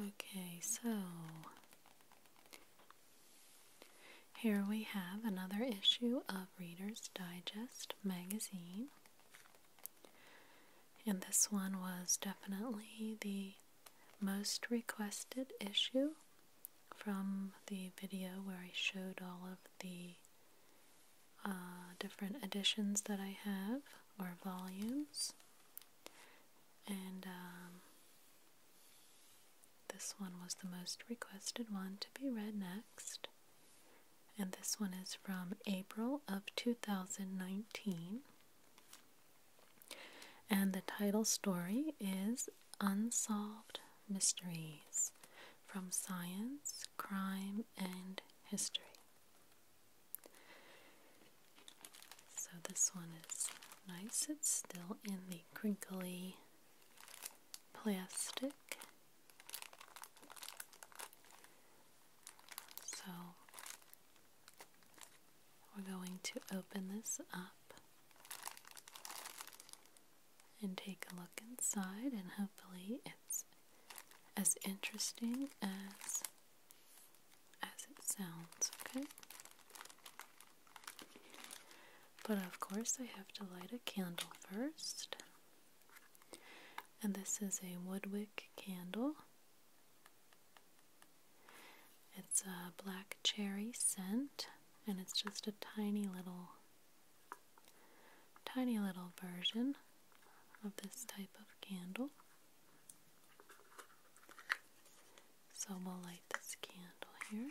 Okay, so here we have another issue of Reader's Digest magazine. And this one was definitely the most requested issue from the video where I showed all of the uh, different editions that I have or volumes. And um, this one was the most requested one to be read next. And this one is from April of 2019. And the title story is Unsolved Mysteries from Science, Crime, and History. So this one is nice. It's still in the crinkly plastic. So we're going to open this up and take a look inside, and hopefully, it's as interesting as as it sounds, okay? But of course I have to light a candle first. And this is a woodwick candle. It's a black cherry scent and it's just a tiny little tiny little version of this type of candle. So we'll light this candle here.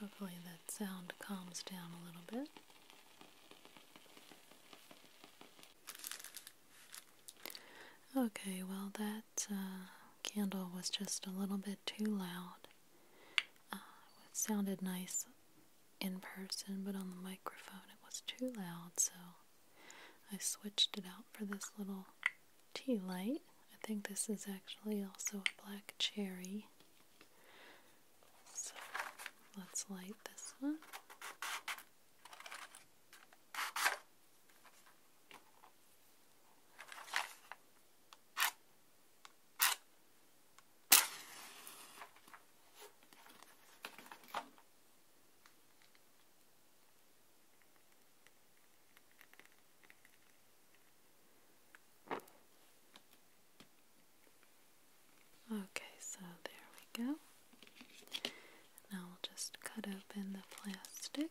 Hopefully, that sound calms down a little bit. Okay, well, that uh, candle was just a little bit too loud. Uh, it sounded nice in person, but on the microphone it was too loud, so I switched it out for this little tea light. I think this is actually also a black cherry. So let's light this one. Okay, so there we go. Now we'll just cut open the plastic.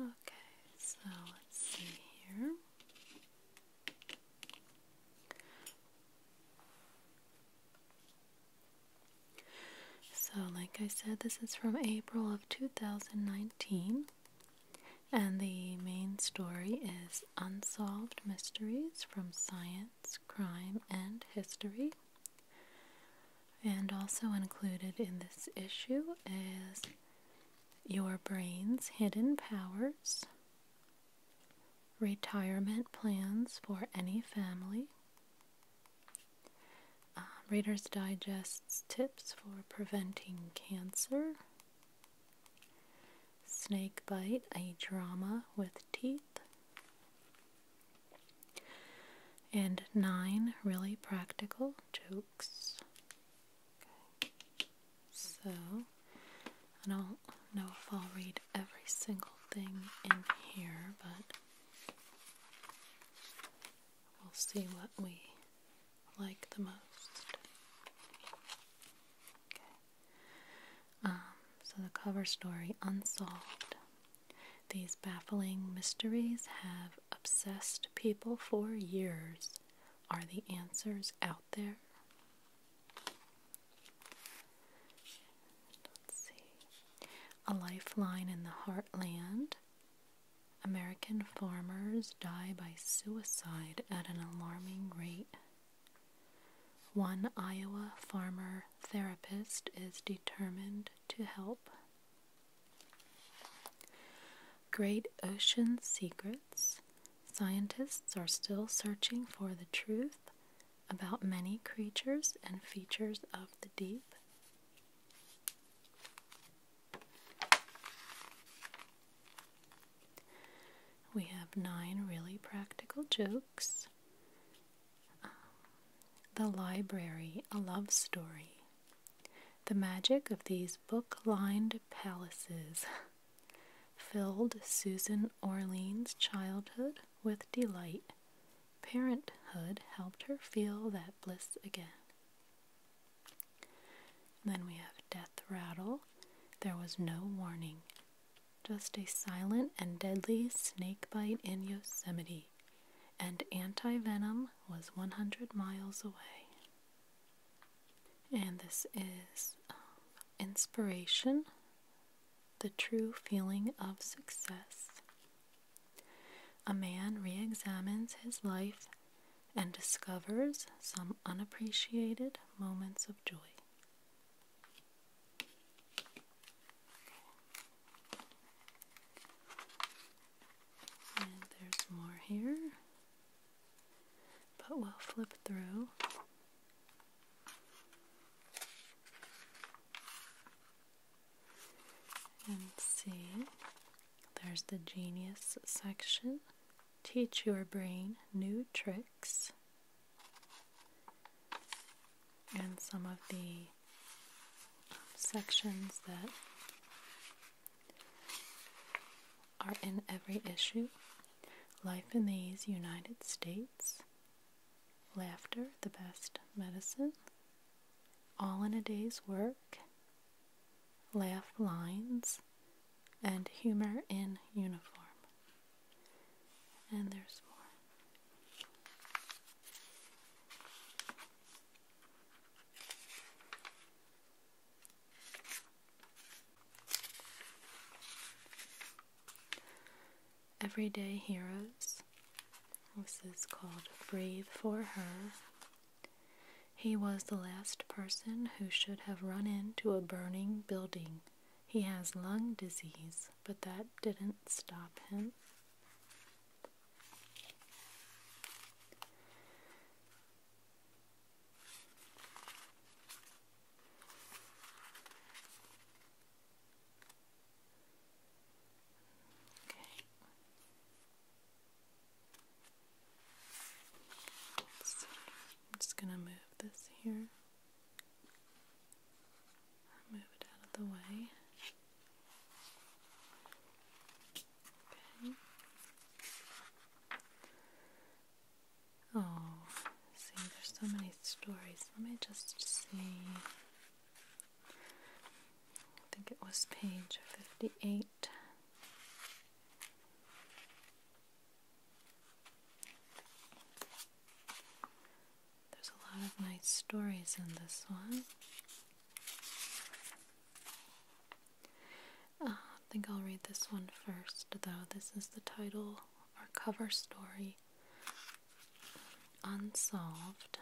Okay, so let's see here. So, like I said, this is from April of 2019, and the main story is Unsolved Mysteries from Science crime, and history. And also included in this issue is Your Brain's Hidden Powers, Retirement Plans for Any Family, um, Reader's Digest Tips for Preventing Cancer, Snake Bite, a Drama with Teeth, and nine really practical jokes. So, I don't know if I'll read every single thing in here, but we'll see what we like the most. Okay. Um, so, the cover story Unsolved these baffling mysteries have obsessed people for years. Are the answers out there? Let's see. A lifeline in the heartland. American farmers die by suicide at an alarming rate. One Iowa farmer therapist is determined to help. Great Ocean Secrets Scientists are still searching for the truth about many creatures and features of the deep. We have nine really practical jokes. The Library, a Love Story. The magic of these book lined palaces filled Susan Orlean's childhood with delight. Parenthood helped her feel that bliss again. then we have Death Rattle. There was no warning, just a silent and deadly snake bite in Yosemite city, and antivenom was 100 miles away. And this is um, inspiration, the true feeling of success. A man re examines his life and discovers some unappreciated moments of joy. And there's more here, but we'll flip through. And see, there's the genius section. Teach your brain new tricks. And some of the sections that are in every issue Life in these United States, Laughter, the Best Medicine, All in a Day's Work, Laugh Lines, and Humor in Uniform. And there's more. Everyday Heroes. This is called Breathe for Her. He was the last person who should have run into a burning building. He has lung disease, but that didn't stop him. Okay. let I'm just going to move this here. Move it out of the way. Okay. Oh, see, there's so many stories. Let me just see. I think it was page 58. There's a lot of nice stories in this one. Uh, I think I'll read this one first, though. This is the title or cover story Unsolved.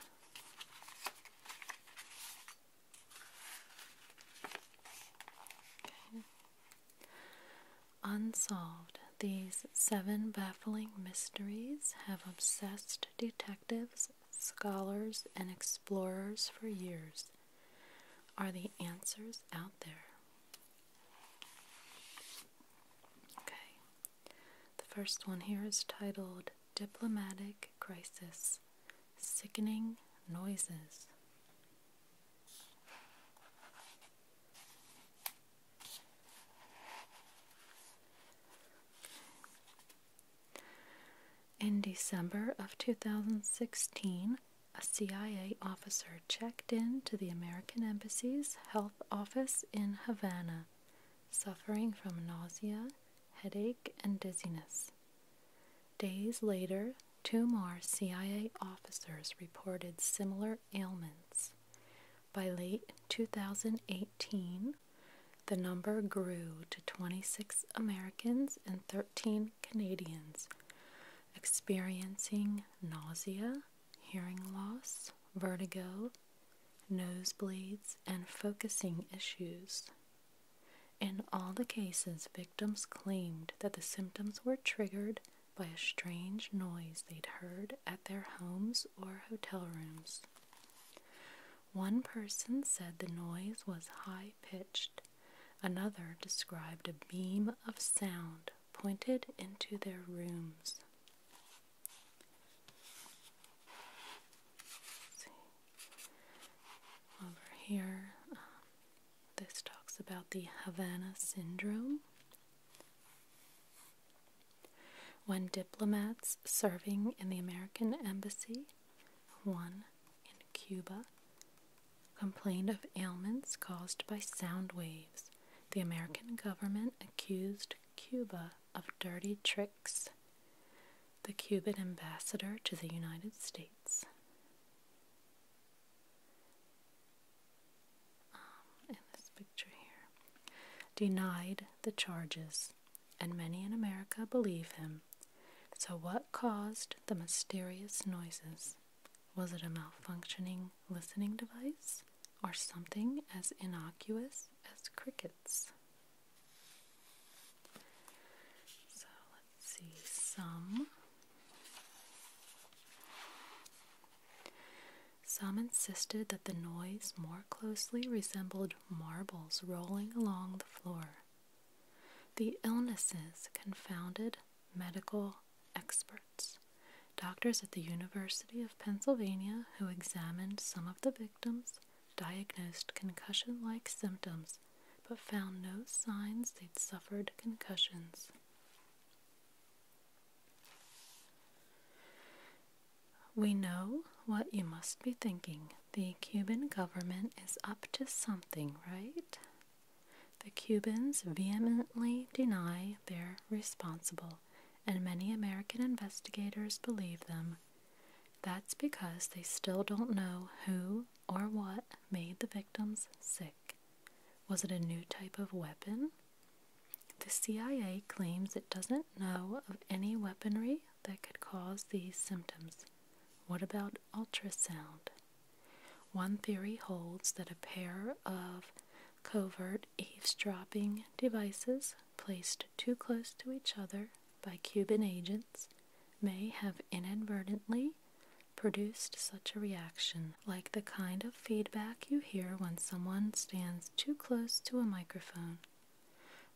Unsolved. These seven mysteries have obsessed detectives, scholars, and explorers for years. Are the answers out there? Okay. The first one here is titled Diplomatic Crisis Sickening Noises. In December of 2016, a CIA officer checked in to the American Embassy's health office in Havana, suffering from nausea, headache, and dizziness. Days later, two more CIA officers reported similar ailments. By late 2018, the number grew to 26 Americans and 13 Canadians experiencing nausea, hearing loss, vertigo, nosebleeds, and focusing issues. In all the cases, victims claimed that the symptoms were triggered by a strange noise they'd heard at their homes or hotel rooms. One person said the noise was high pitched. Another described a beam of sound pointed into their rooms. Over here, um, this talks about the Havana syndrome. When diplomats serving in the American embassy, one in Cuba, complained of ailments caused by sound waves, the American government accused Cuba of dirty tricks. The Cuban ambassador to the United States. Um, in this picture here, denied the charges and many in America believe him. So, what caused the mysterious noises? Was it a malfunctioning listening device or something as innocuous as crickets? So, let's see some. Some insisted that the noise more closely resembled marbles rolling along the floor. The illnesses confounded medical experts, doctors at the University of Pennsylvania who examined some of the victims, diagnosed concussion like symptoms, but found no signs they'd suffered concussions. We know what you must be thinking. The Cuban government is up to something, right? The Cubans vehemently deny they're responsible, and many American investigators believe them. That's because they still don't know who or what made the victims sick. Was it a new type of weapon? The CIA claims it doesn't know of any weaponry that could cause these symptoms. What about ultrasound? One theory holds that a pair of covert eavesdropping devices placed too close to each other by Cuban agents may have inadvertently produced such a reaction, like the kind of feedback you hear when someone stands too close to a microphone.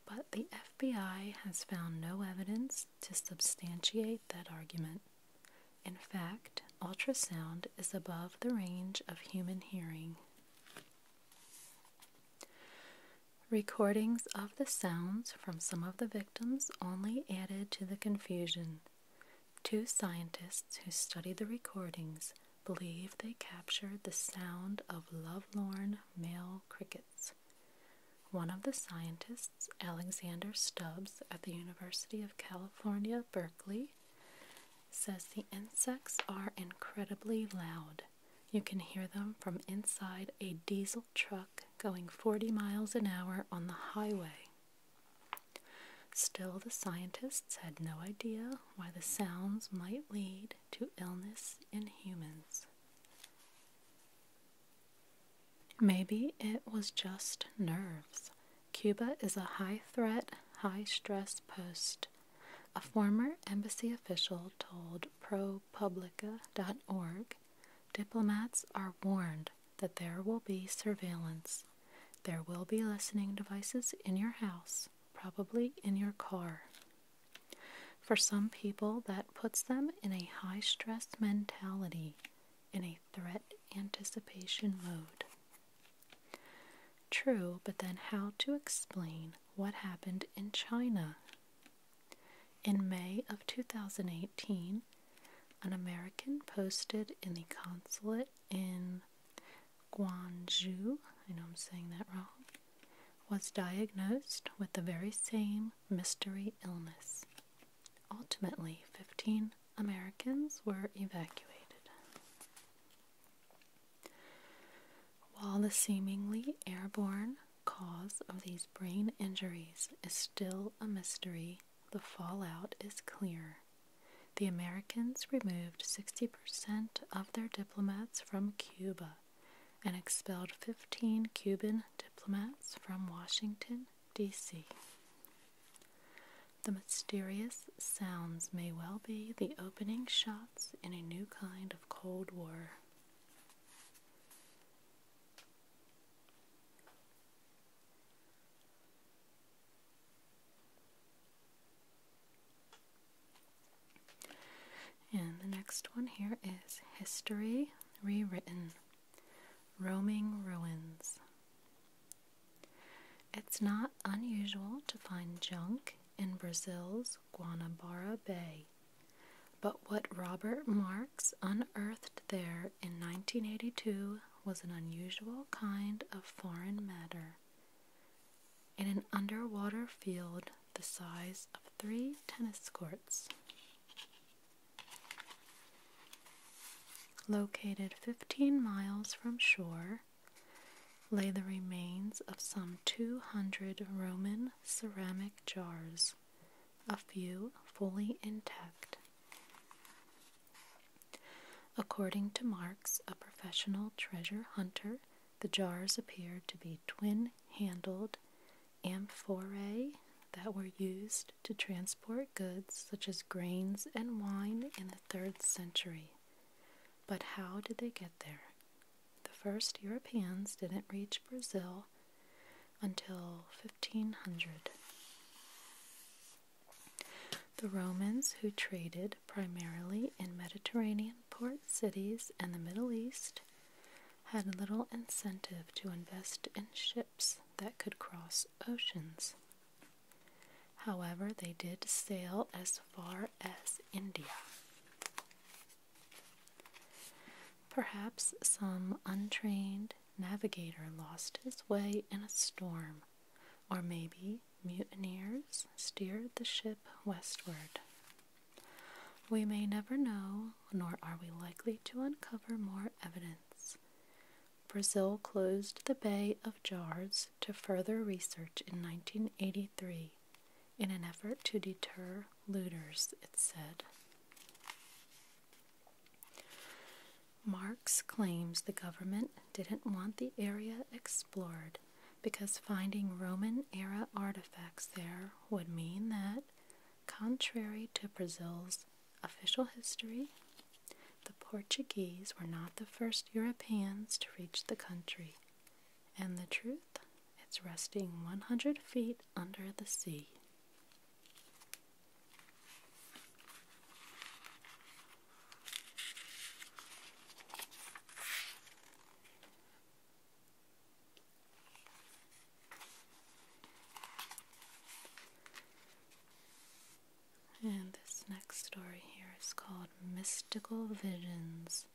But the FBI has found no evidence to substantiate that argument. In fact, ultrasound is above the range of human hearing. Recordings of the sounds from some of the victims only added to the confusion. Two scientists who studied the recordings believe they captured the sound of lovelorn male crickets. One of the scientists, Alexander Stubbs at the University of California, Berkeley, says the insects are incredibly loud. You can hear them from inside a diesel truck going 40 miles an hour on the highway. Still, the scientists had no idea why the sounds might lead to illness in humans. Maybe it was just nerves. Cuba is a high threat, high stress post. A former embassy official told ProPublica.org diplomats are warned that there will be surveillance. There will be listening devices in your house, probably in your car. For some people, that puts them in a high stress mentality, in a threat anticipation mode. True, but then how to explain what happened in China? In May of 2018, an American posted in the consulate in Guangzhou, I know I'm saying that wrong, was diagnosed with the very same mystery illness. Ultimately, 15 Americans were evacuated. While the seemingly airborne cause of these brain injuries is still a mystery, the fallout is clear. The Americans removed 60% of their diplomats from Cuba and expelled 15 Cuban diplomats from Washington, D.C. The mysterious sounds may well be the opening shots in a new kind of Cold War. And the next one here is History Rewritten Roaming Ruins. It's not unusual to find junk in Brazil's Guanabara Bay, but what Robert Marks unearthed there in 1982 was an unusual kind of foreign matter. In an underwater field the size of three tennis courts, located 15 miles from shore. Lay the remains of some 200 Roman ceramic jars, a few fully intact. According to Marks, a professional treasure hunter, the jars appear to be twin handled amphorae that were used to transport goods such as grains and wine in the 3rd century. But how did they get there? The first Europeans didn't reach Brazil until 1500. The Romans, who traded primarily in Mediterranean port cities and the Middle East, had little incentive to invest in ships that could cross oceans. However, they did sail as far as India. Perhaps some untrained navigator lost his way in a storm, or maybe mutineers steered the ship westward. We may never know, nor are we likely to uncover more evidence. Brazil closed the Bay of Jars to further research in 1983 in an effort to deter looters, it said. Marx claims the government didn't want the area explored because finding Roman era artifacts there would mean that Contrary to Brazil's official history, the Portuguese were not the first Europeans to reach the country, and the truth, it's resting 100 feet under the sea. And this next story here is called Mystical Visions.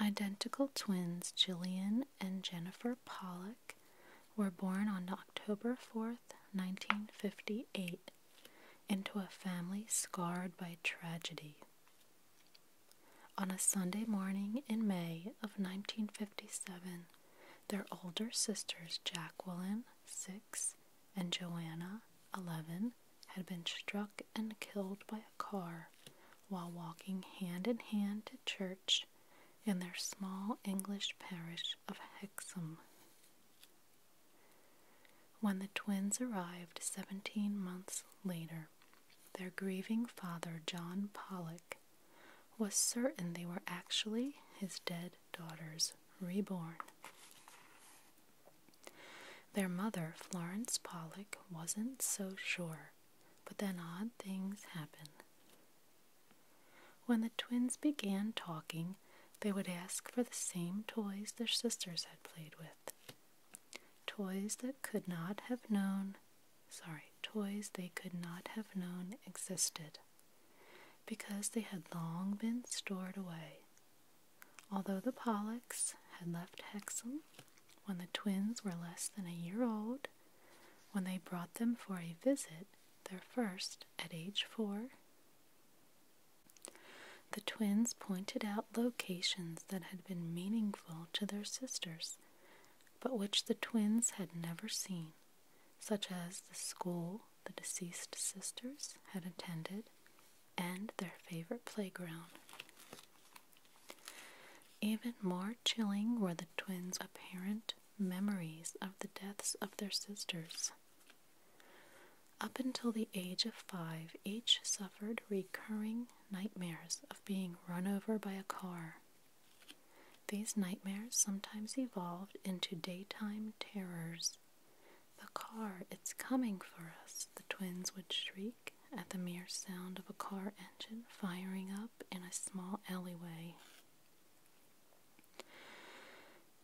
Identical twins Jillian and Jennifer Pollock were born on October 4, 1958, into a family scarred by tragedy. On a Sunday morning in May of 1957, their older sisters Jacqueline, 6, and Joanna, 11, had been struck and killed by a car while walking hand in hand to church in their small English parish of Hexham. When the twins arrived seventeen months later, their grieving father, John Pollock, was certain they were actually his dead daughters, reborn. Their mother, Florence Pollock, wasn't so sure, but then odd things happened. When the twins began talking, they would ask for the same toys their sisters had played with. Toys that could not have known, sorry, toys they could not have known existed because they had long been stored away. Although the Pollocks had left Hexham when the twins were less than a year old, when they brought them for a visit, their first at age four. The twins pointed out locations that had been meaningful to their sisters, but which the twins had never seen, such as the school the deceased sisters had attended and their favorite playground. Even more chilling were the twins' apparent memories of the deaths of their sisters. Up until the age of five, each suffered recurring nightmares of being run over by a car. These nightmares sometimes evolved into daytime terrors. The car, it's coming for us, the twins would shriek at the mere sound of a car engine firing up in a small alleyway.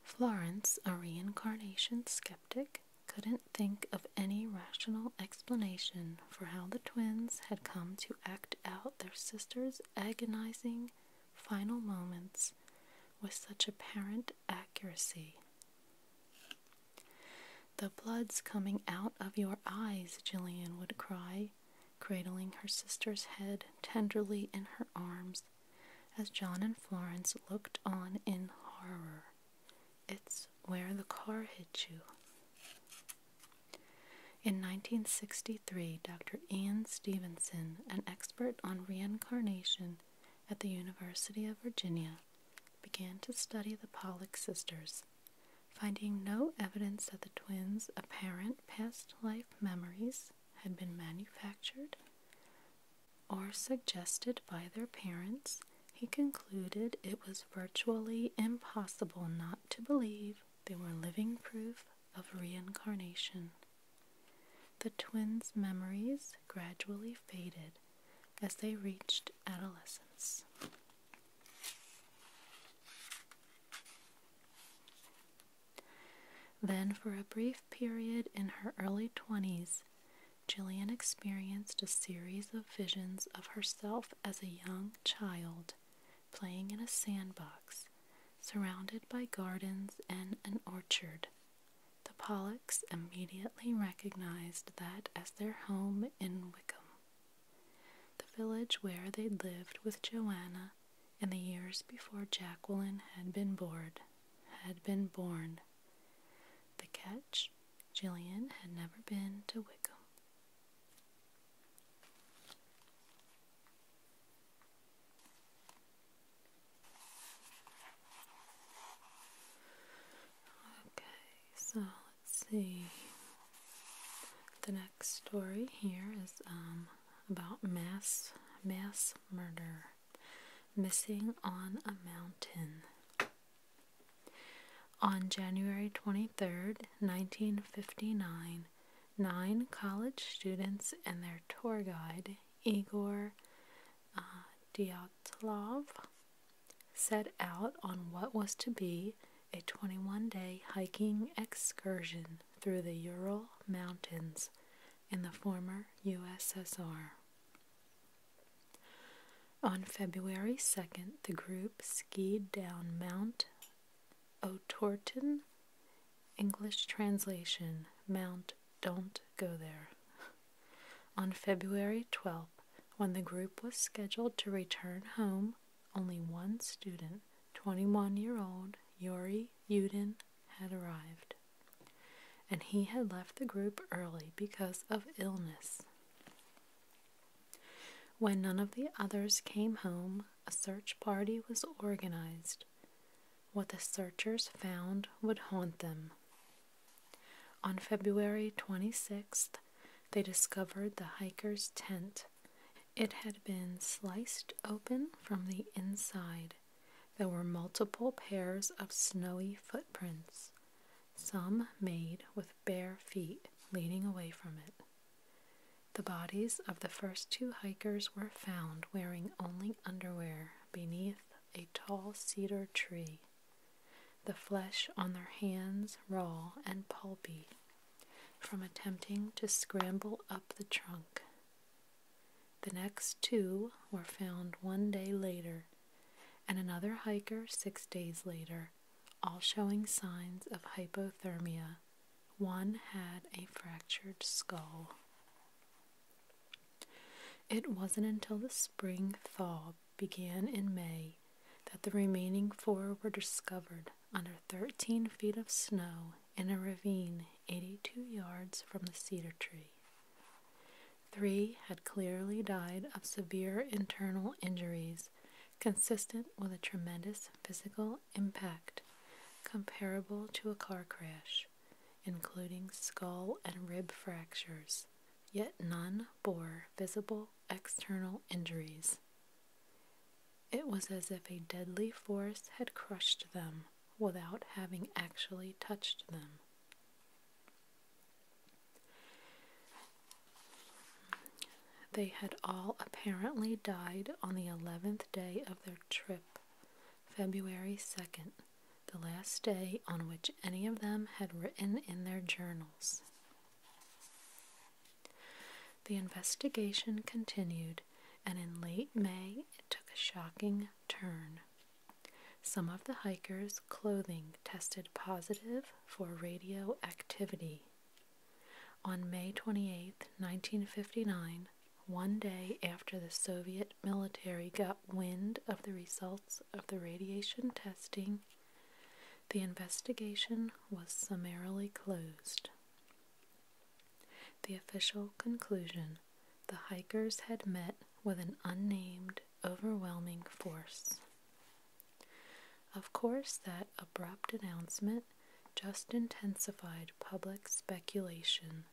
Florence, a reincarnation skeptic, couldn't think of any rational explanation for how the twins had come to act out their sister's agonizing final moments with such apparent accuracy. The blood's coming out of your eyes, Jillian would cry cradling her sister's head tenderly in her arms as John and Florence looked on in horror. It's where the car hit you. In 1963, Dr. Ian Stevenson, an expert on reincarnation at the University of Virginia, began to study the Pollock sisters finding no evidence that the twins' apparent past life memories had been manufactured or suggested by their parents, he concluded it was virtually impossible not to believe they were living proof of reincarnation. The twins' memories gradually faded as they reached adolescence. Then, for a brief period in her early 20s, Jillian experienced a series of visions of herself as a young child playing in a sandbox surrounded by gardens and an orchard. The Pollocks immediately recognized that as their home in Wickham the village where they'd lived with Joanna in the years before Jacqueline had been born, had been born. The catch, Jillian had never been to Wickham. Okay, so Let's see. The next story here is um, about mass mass murder, missing on a mountain. On January 23rd, 1959, nine college students and their tour guide, Igor uh, set out on what was to be a 21 day hiking excursion through the Ural Mountains in the former USSR. On February 2nd, the group skied down Mount O'Torton, English translation Mount Don't Go There. On February 12th, when the group was scheduled to return home, only one student, 21 year old Yuri Yudin, had arrived, and he had left the group early because of illness. When none of the others came home, a search party was organized. What the searchers found would haunt them. On February 26th, they discovered the hiker's tent it. had been sliced open from the inside. There were multiple pairs of snowy footprints, some made with bare feet leading away from it. The bodies of the first two hikers were found wearing only underwear beneath a tall cedar tree, the flesh on their hands raw and pulpy from attempting to scramble up the trunk. The next two were found one day later, and another hiker six days later, all showing signs of hypothermia. One had a fractured skull. It wasn't until the spring thaw began in May that the remaining four were discovered under 13 feet of snow in a ravine 82 yards from the cedar tree. Three had clearly died of severe internal injuries consistent with a tremendous physical impact comparable to a car crash, including skull and rib fractures, yet none bore visible external injuries. It was as if a deadly force had crushed them without having actually touched them. They had all apparently died on the 11th day of their trip, February 2nd, the last day on which any of them had written in their journals. The investigation continued, and in late May it took a shocking turn. Some of the hikers' clothing tested positive for radioactivity. On May 28, 1959, one day after the Soviet military got wind of the results of the radiation testing, the investigation was summarily closed. The official conclusion the hikers had met with an unnamed, overwhelming force. Of course, that abrupt announcement just intensified public speculation.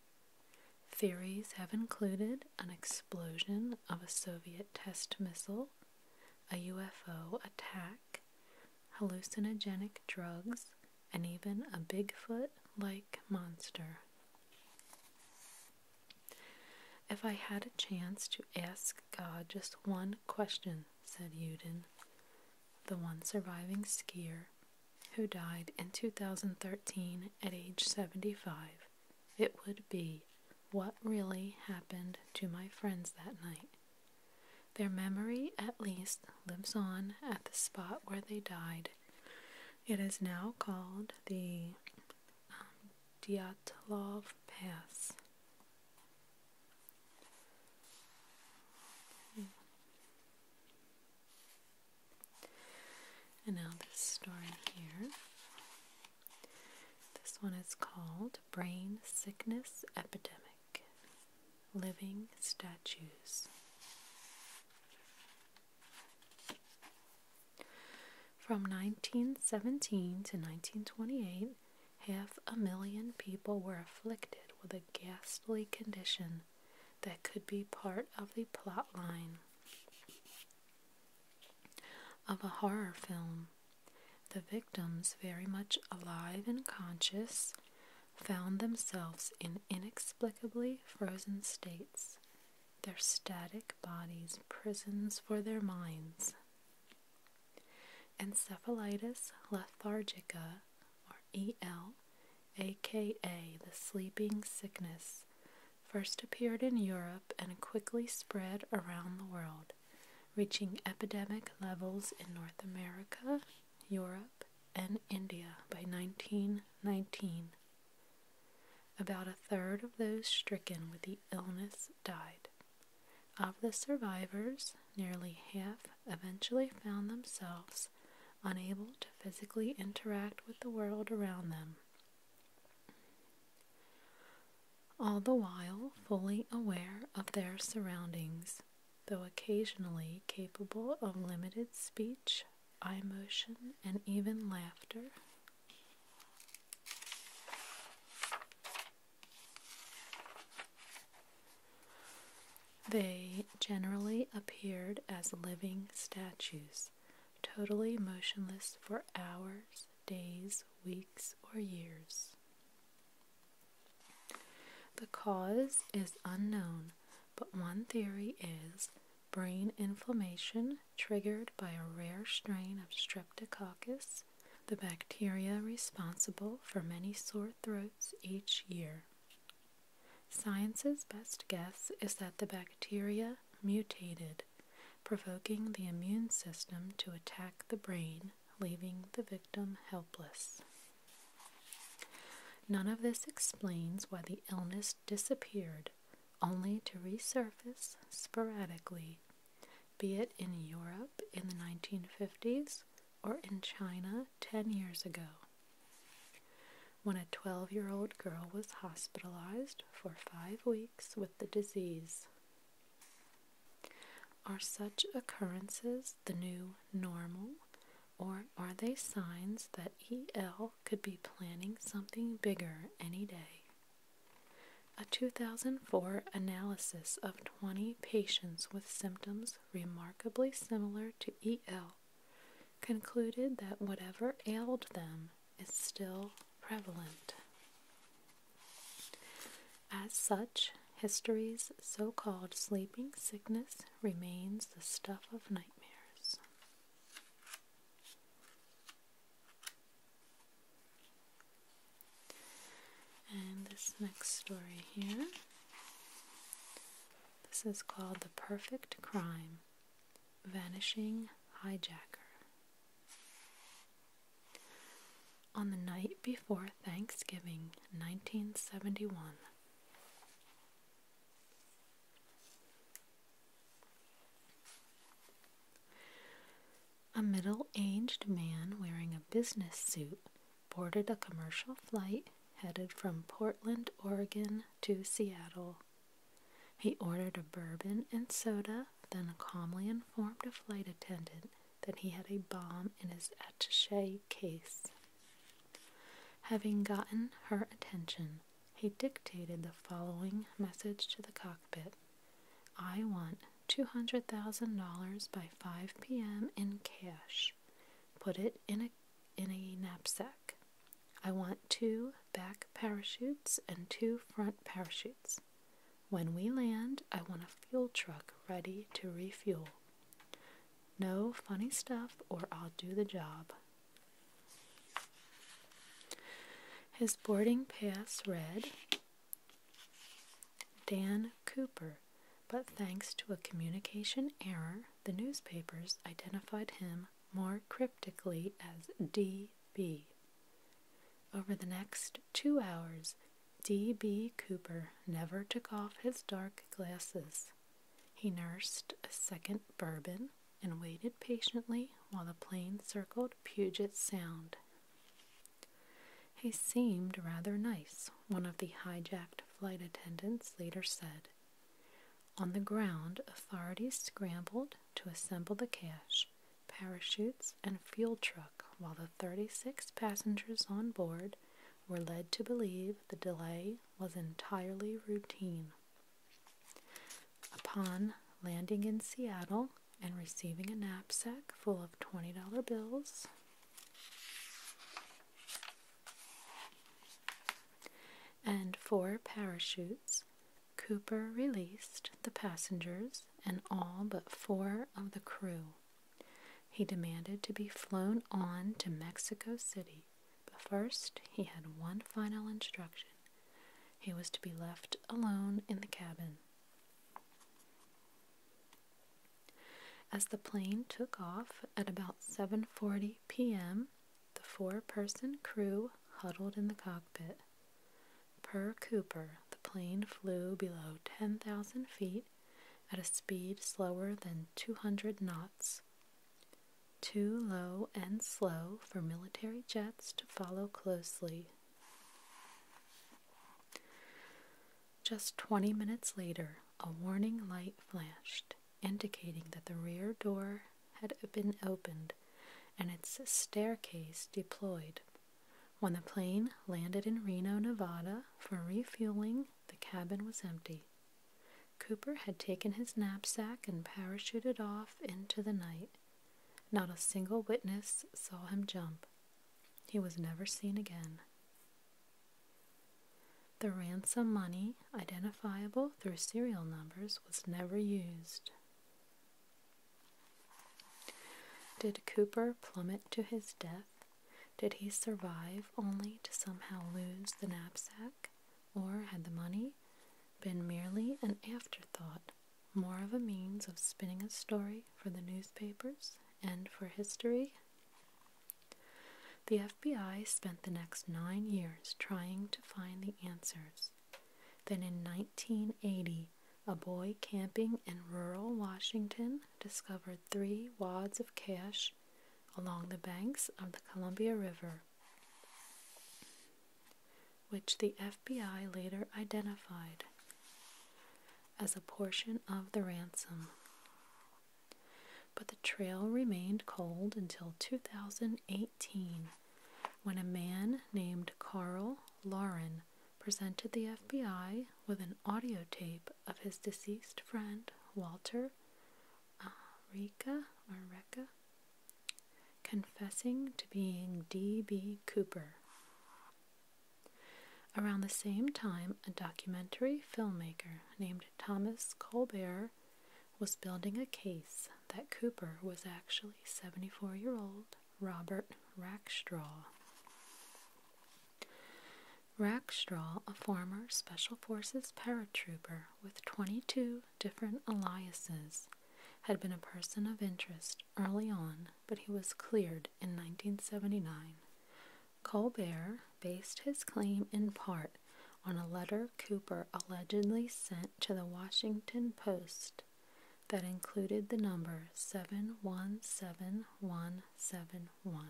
Theories have included an explosion of a Soviet test missile, a UFO attack, hallucinogenic drugs, and even a Bigfoot like monster. If I had a chance to ask God just one question, said Uden, the one surviving skier who died in 2013 at age 75, it would be what really happened to my friends that night. Their memory, at least, lives on at the spot where they died. It is now called the um, Diatlov Pass. And now this story here. This one is called Brain Sickness Epidemic living statues. From 1917 to 1928, half a million people were afflicted with a ghastly condition that could be part of the plot line of a horror film. The victims, very much alive and conscious, found themselves in inexplicably frozen states, their static bodies prisons for their minds. Encephalitis lethargica, or EL, aka the sleeping sickness, first appeared in Europe and quickly spread around the world, reaching epidemic levels in North America Europe, and India by 1919. About a third of those stricken with the illness died. Of the survivors, nearly half eventually found themselves unable to physically interact with the world around them. All the while fully aware of their surroundings though occasionally capable of limited speech, eye motion, and even laughter. They generally appeared as living statues, totally motionless for hours, days, weeks, or years. The cause is unknown, but one theory is brain inflammation triggered by a rare strain of Streptococcus, the bacteria responsible for many sore throats each year. Science's best guess is that the bacteria mutated, provoking the immune system to attack the brain, leaving the victim helpless. None of this explains why the illness disappeared, only to resurface sporadically, be it in Europe in the 1950s or in China 10 years ago. When a 12 year old girl was hospitalized for five weeks with the disease. Are such occurrences the new normal, or are they signs that EL could be planning something bigger any day? A 2004 analysis of 20 patients with symptoms remarkably similar to EL concluded that whatever ailed them is still prevalent. As such, history's so called sleeping sickness remains the stuff of nightmares. And this next story here. This is called The Perfect Crime Vanishing Hijacker. On the night before Thanksgiving 1971, a middle aged man wearing a business suit boarded a commercial flight headed from Portland, Oregon to Seattle. He ordered a bourbon and soda, then calmly informed a flight attendant that he had a bomb in his attache case. Having gotten her attention, he dictated the following message to the cockpit I want $200,000 by 5 p.m. in cash. Put it in a, in a knapsack. I want two back parachutes and two front parachutes. When we land, I want a fuel truck ready to refuel. No funny stuff, or I'll do the job. His boarding pass read Dan Cooper, but thanks to a communication error, the newspapers identified him more cryptically as D.B. Over the next two hours, D.B. Cooper never took off his dark glasses. He nursed a second bourbon and waited patiently while the plane circled Puget Sound. He seemed rather nice, one of the hijacked flight attendants later said. On the ground, authorities scrambled to assemble the cache, parachutes, and fuel truck while the 36 passengers on board were led to believe the delay was entirely routine. Upon landing in Seattle and receiving a knapsack full of $20 bills, and four parachutes, Cooper released the passengers and all but four of the crew. He demanded to be flown on to Mexico City but first he had one final instruction. He was to be left alone in the cabin. As the plane took off at about 7:40 p.m., the four-person crew huddled in the cockpit. Per Cooper, the plane flew below 10,000 feet at a speed slower than 200 knots. Too low and slow for military jets to follow closely. Just 20 minutes later, a warning light flashed, indicating that the rear door had been opened and its staircase deployed. When the plane landed in Reno, Nevada for refueling, the cabin was empty. Cooper had taken his knapsack and parachuted off into the night. Not a single witness saw him jump. He was never seen again. The ransom money, identifiable through serial numbers, was never used. Did Cooper plummet to his death? Did he survive only to somehow lose the knapsack? or had the money been merely an afterthought, more of a means of spinning a story for the newspapers and for history? The FBI spent the next nine years trying to find the answers. Then in 1980, a boy camping in rural Washington discovered three wads of cash along the banks of the Columbia River, which the FBI later identified as a portion of the ransom. But the trail remained cold until 2018 when a man named Carl Lauren presented the FBI with an audio tape of his deceased friend Walter uh, Rika or Reka confessing to being D.B. Cooper. Around the same time, a documentary filmmaker named Thomas Colbert was building a case that Cooper was actually 74 year old Robert Rackstraw. Rackstraw, a former Special Forces paratrooper with 22 different aliases had been a person of interest early on, but he was cleared in 1979. Colbert based his claim in part on a letter Cooper allegedly sent to the Washington Post that included the number 717171.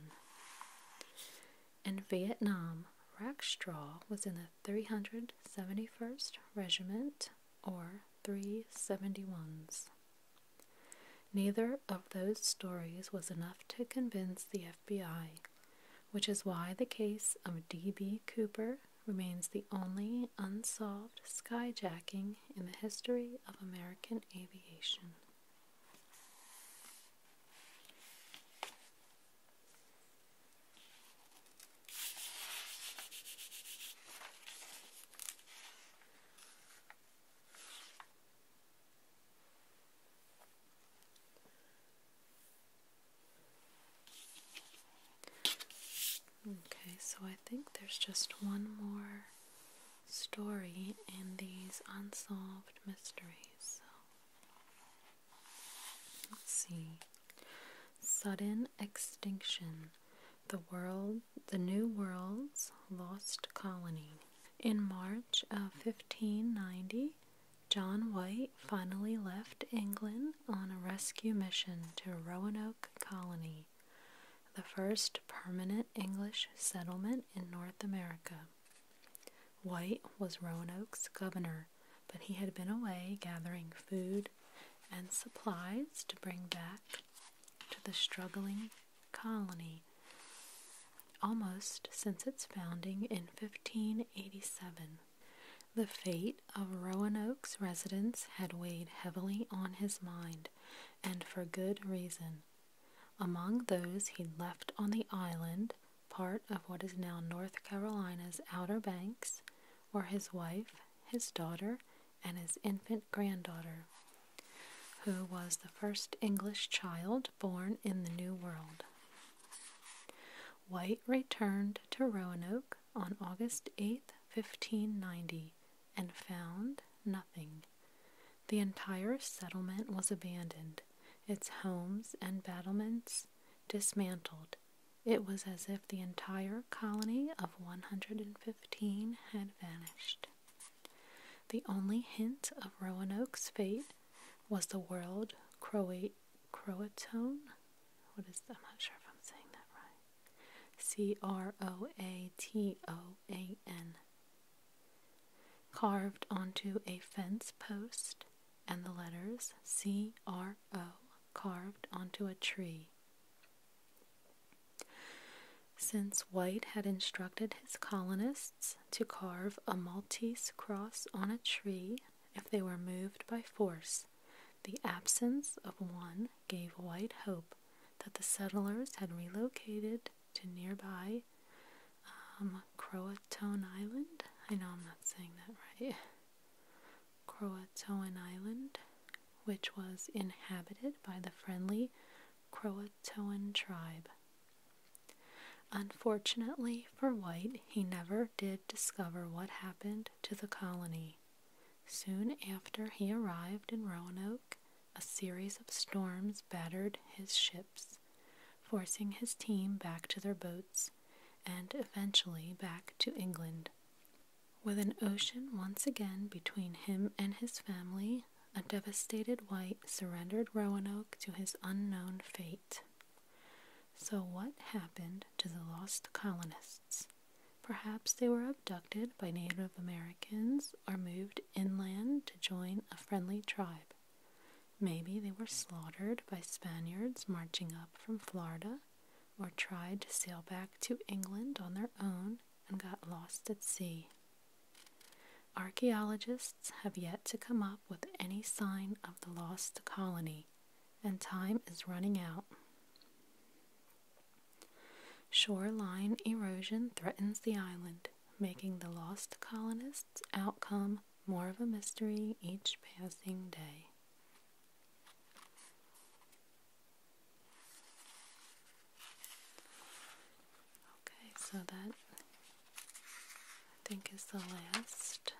In Vietnam, Rackstraw was in the 371st Regiment or 371s. Neither of those stories was enough to convince the FBI, which is why the case of D.B. Cooper remains the only unsolved skyjacking in the history of American aviation. Okay, so I think there's just one more story in these unsolved mysteries. Let's see. Sudden extinction. The world, the new world's lost colony. In March of 1590, John White finally left England on a rescue mission to Roanoke Colony, the first permanent English settlement in North America. White was Roanoke's governor but he had been away gathering food and supplies to bring back to the struggling colony almost since its founding in 1587. The fate of Roanoke's residents had weighed heavily on his mind, and for good reason. Among those he left on the island part of what is now North Carolina's Outer Banks, were his wife, his daughter, and his infant granddaughter, who was the first English child born in the New World. White returned to Roanoke on August 8, 1590, and found nothing. The entire settlement was abandoned, its homes and battlements dismantled, it was as if the entire colony of 115 had vanished. The only hint of Roanoke's fate was the word Croatone. What is I'm not sure if I'm saying that right. C R O A T O A N. Carved onto a fence post and the letters C R O carved onto a tree. Since White had instructed his colonists to carve a Maltese cross on a tree if they were moved by force, the absence of one gave White hope that the settlers had relocated to nearby um, Island. I know I'm not saying that right. Croatoan Island, which was inhabited by the friendly Croatoan tribe. Unfortunately for White, he never did discover what happened to the colony. Soon after he arrived in Roanoke, a series of storms battered his ships, forcing his team back to their boats and eventually back to England. With an ocean once again between him and his family, a devastated white surrendered Roanoke to his unknown fate. So, what happened to the lost colonists? Perhaps they were abducted by Native Americans or moved inland to join a friendly tribe. Maybe they were slaughtered by Spaniards marching up from Florida, or tried to sail back to England on their own and got lost at sea. Archaeologists have yet to come up with any sign of the lost colony, and time is running out. Shoreline erosion threatens the island, making the lost colonists' outcome more of a mystery each passing day. Okay, so that I think is the last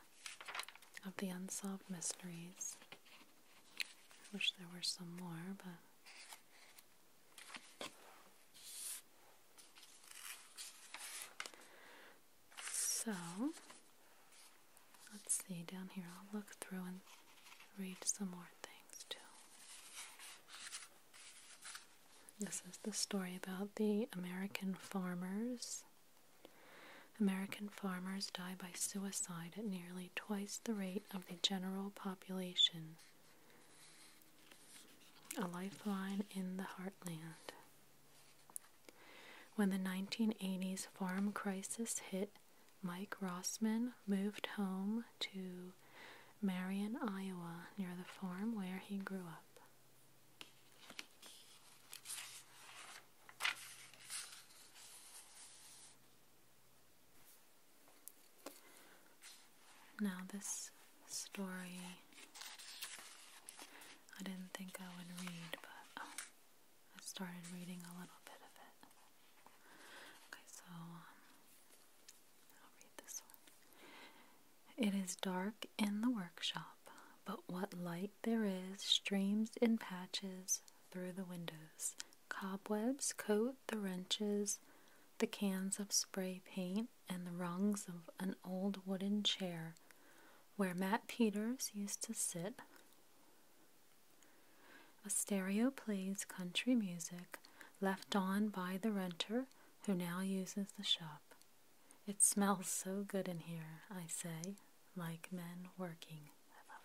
of the unsolved mysteries. I wish there were some more, but. So, let's see down here. I'll look through and read some more things too. This is the story about the American farmers. American farmers die by suicide at nearly twice the rate of the general population. A lifeline in the heartland. When the 1980s farm crisis hit, Mike Rossman moved home to Marion, Iowa, near the farm where he grew up. Now, this story I didn't think I would read, but um, I started reading a little bit of it. Okay, so um, I'll read this one. It is dark in the workshop, but what light there is streams in patches through the windows. Cobwebs coat the wrenches, the cans of spray paint, and the rungs of an old wooden chair where Matt Peters used to sit. A stereo plays country music left on by the renter who now uses the shop. It smells so good in here, I say, like men working. I love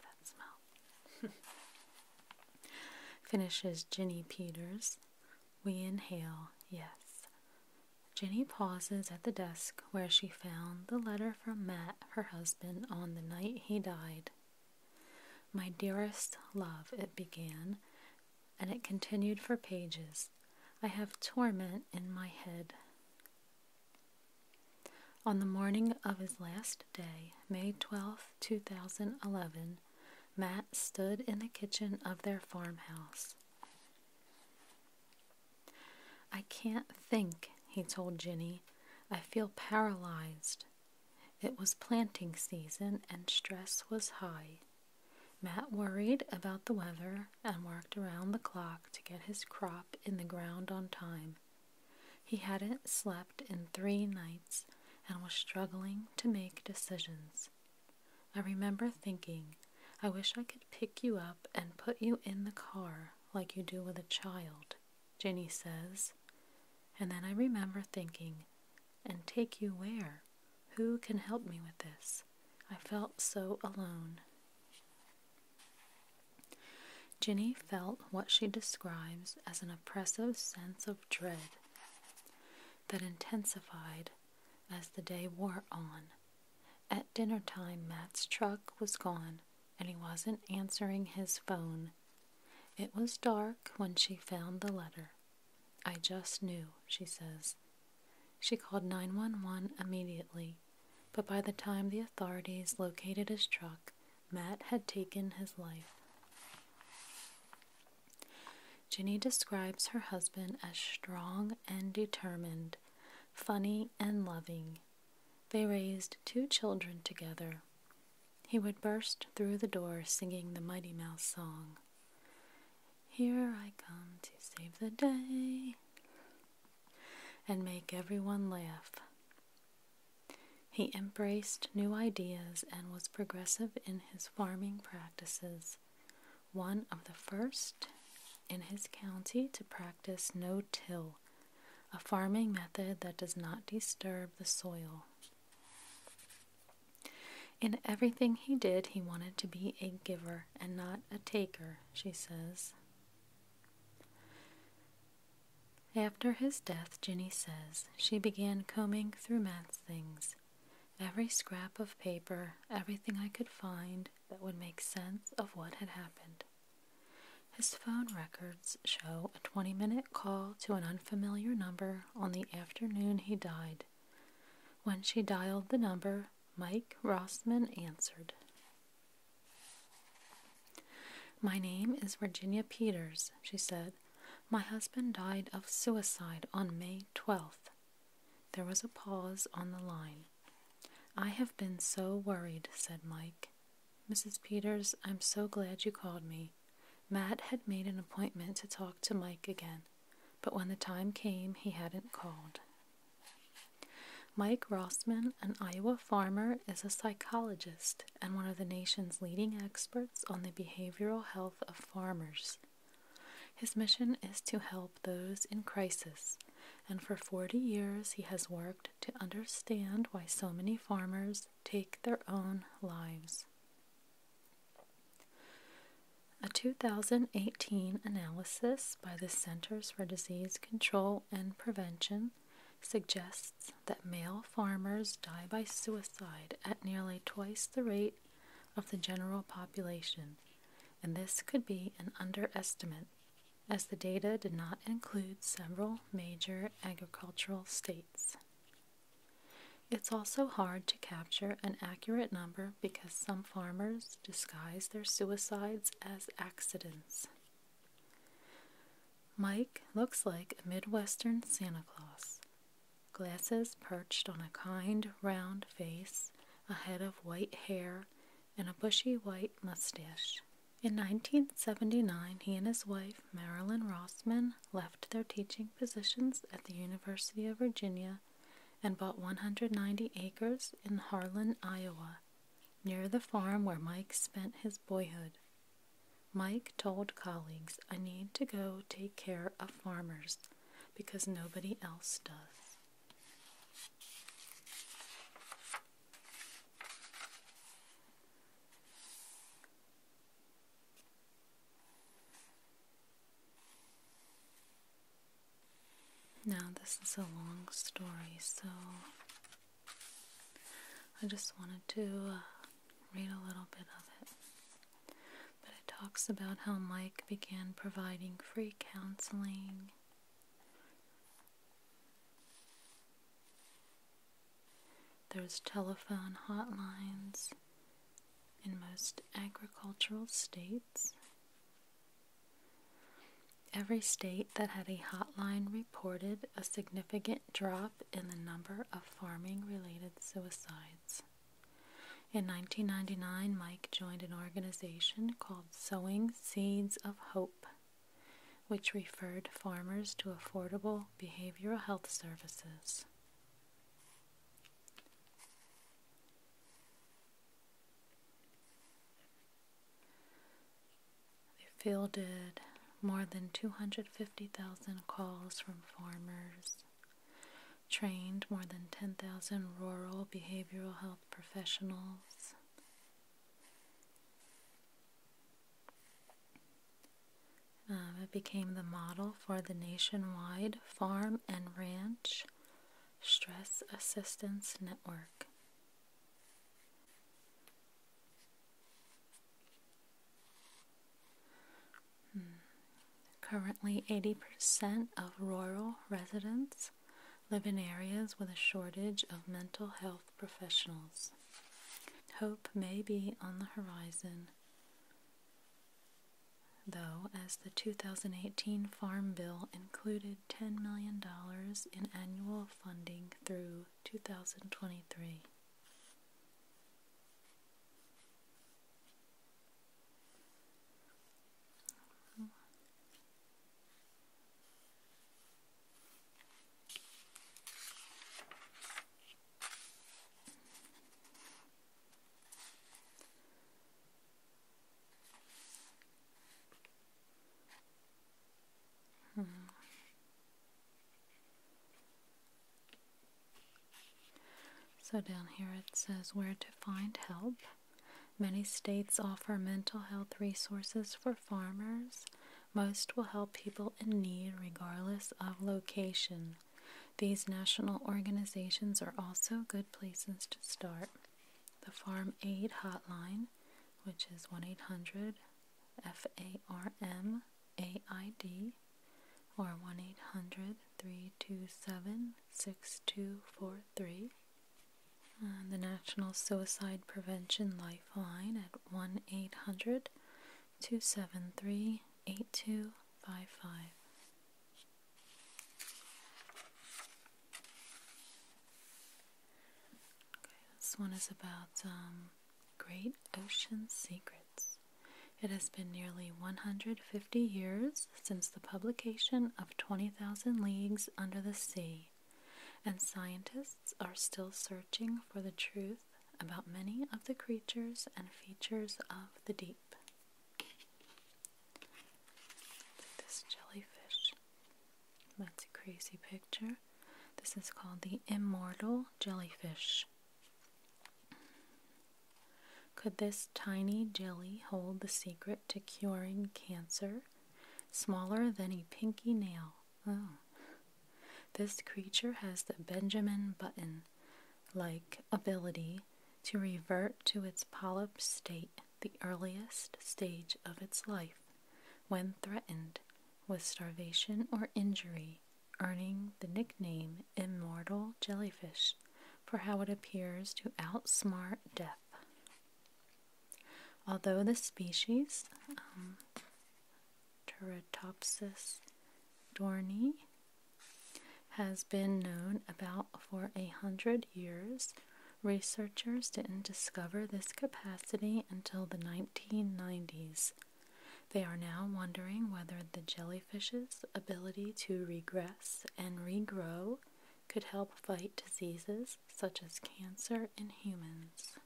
that smell. Finishes Ginny Peters. We inhale, yes. Jenny pauses at the desk where she found the letter from Matt, her husband, on the night he died. My dearest love, it began, and it continued for pages. I have torment in my head. On the morning of his last day, May 12, 2011, Matt stood in the kitchen of their farmhouse. I can't think, he told Jinny. I feel paralyzed. It was planting season and stress was high. Matt worried about the weather and worked around the clock to get his crop in the ground on time. He hadn't slept in three nights and was struggling to make decisions. I remember thinking, I wish I could pick you up and put you in the car like you do with a child, Jenny says. And then I remember thinking, and take you where? Who can help me with this? I felt so alone. Jenny felt what she describes as an oppressive sense of dread that intensified as the day wore on. At dinner time, Matt's truck was gone and he wasn't answering his phone. It was dark when she found the letter. I just knew, she says. She called 911 immediately, but by the time the authorities located his truck, Matt had taken his life. Jenny describes her husband as strong and determined, funny and loving. They raised two children together. He would burst through the door singing the Mighty Mouse song. Here I come to save the day and make everyone laugh. He embraced new ideas and was progressive in his farming practices, one of the first in his county to practice no till a farming method that does not disturb the soil. In everything he did, he wanted to be a giver and not a taker, she says. After his death, Jinny says, she began combing through Matt's things. Every scrap of paper, everything I could find that would make sense of what had happened. His phone records show a 20 minute call to an unfamiliar number on the afternoon he died. When she dialed the number, Mike Rossman answered. My name is Virginia Peters, she said. My husband died of suicide on May twelfth." There was a pause on the line. I have been so worried, said Mike. Mrs. Peters, I'm so glad you called me. Matt had made an appointment to talk to Mike again, but when the time came, he hadn't called. Mike Rossman, an Iowa farmer, is a psychologist and one of the nation's leading experts on the behavioral health of farmers. His mission is to help those in crisis and for 40 years he has worked to understand why so many farmers take their own lives. A 2018 analysis by the Centers for Disease Control and Prevention suggests that male farmers die by suicide at nearly twice the rate of the general population, and this could be an underestimate as the data did not include several major agricultural states. It's also hard to capture an accurate number because some farmers disguise their suicides as accidents. Mike looks like a Midwestern Santa Claus, glasses perched on a kind, round face, a head of white hair, and a bushy white mustache. In 1979, he and his wife, Marilyn Rossman, left their teaching positions at the University of Virginia and bought 190 acres in Harlan, Iowa, near the farm where Mike spent his boyhood. Mike told colleagues, I need to go take care of farmers because nobody else does. Now, this is a long story, so I just wanted to uh, read a little bit of it. But it talks about how Mike began providing free counseling there's telephone hotlines in most agricultural states. Every state that had a hotline reported a significant drop in the number of farming related suicides. In 1999, Mike joined an organization called Sowing Seeds of Hope which referred farmers to affordable behavioral health services. They fielded more than 250,000 calls from farmers, trained more than 10,000 rural behavioral health professionals. Um, it became the model for the nationwide Farm and Ranch Stress Assistance Network. Hmm. Currently, 80% of rural residents live in areas with a shortage of mental health professionals. Hope may be on the horizon, though, as the 2018 Farm Bill included $10 million in annual funding through 2023. So, down here it says where to find help. Many states offer mental health resources for farmers, most will help people in need regardless of location. These national organizations are also good places to start. The Farm Aid Hotline, which is 1 800 FARM AID or 1 800 327 6243. The National Suicide Prevention Lifeline at 1 800 273 8255. This one is about um, Great Ocean Secrets. It has been nearly 150 years since the publication of 20,000 Leagues Under the Sea and scientists are still searching for the truth about many of the creatures and features of the deep. This jellyfish. That's a crazy picture. This is called the immortal jellyfish. Could this tiny jelly hold the secret to curing cancer, smaller than a pinky nail? Oh. This creature has the Benjamin Button like ability to revert to its polyp state, the earliest stage of its life, when threatened with starvation or injury, earning the nickname Immortal Jellyfish for how it appears to outsmart death. Although the species um, Teratopsis dorni has been known about for a hundred years. Researchers didn't discover this capacity until the 1990s. They are now wondering whether the jellyfish's ability to regress and regrow could help fight diseases such as cancer in humans.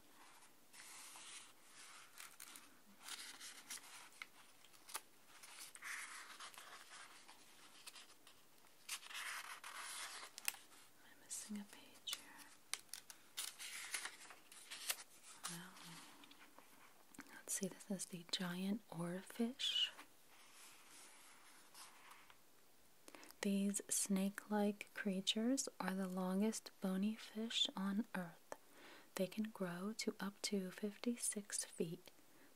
Am missing a page here? let's see, this is the giant oarfish. These snake like creatures are the longest bony fish on Earth. They can grow to up to 56 feet,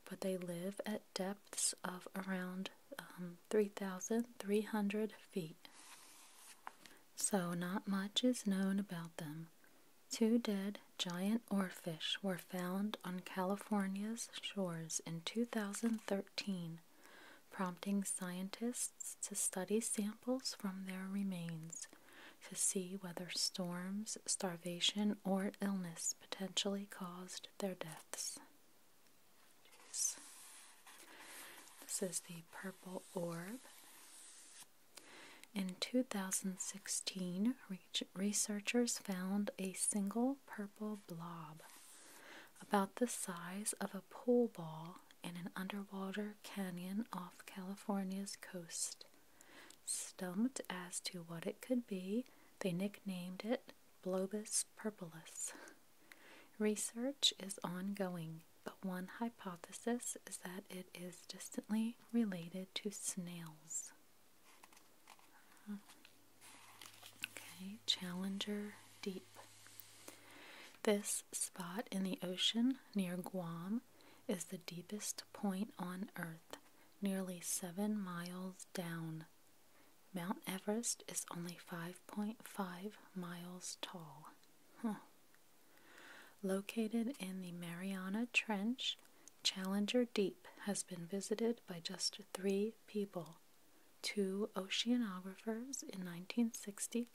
but they live at depths of around um, 3,300 feet. So, not much is known about them. Two dead giant oarfish were found on California's shores in 2013 prompting scientists to study samples from their remains to see whether storms, starvation, or illness potentially caused their deaths. This is the purple orb. In 2016, researchers found a single purple blob about the size of a pool ball in an underwater canyon off California's coast. Stumped as to what it could be, they nicknamed it Blobus purpulus. Research is ongoing, but one hypothesis is that it is distantly related to snails. Okay, Challenger Deep. This spot in the ocean near Guam is the deepest point on Earth, nearly seven miles down. Mount Everest is only 5.5 miles tall. Located in the Mariana Trench, Challenger Deep has been visited by just three people two oceanographers in 1960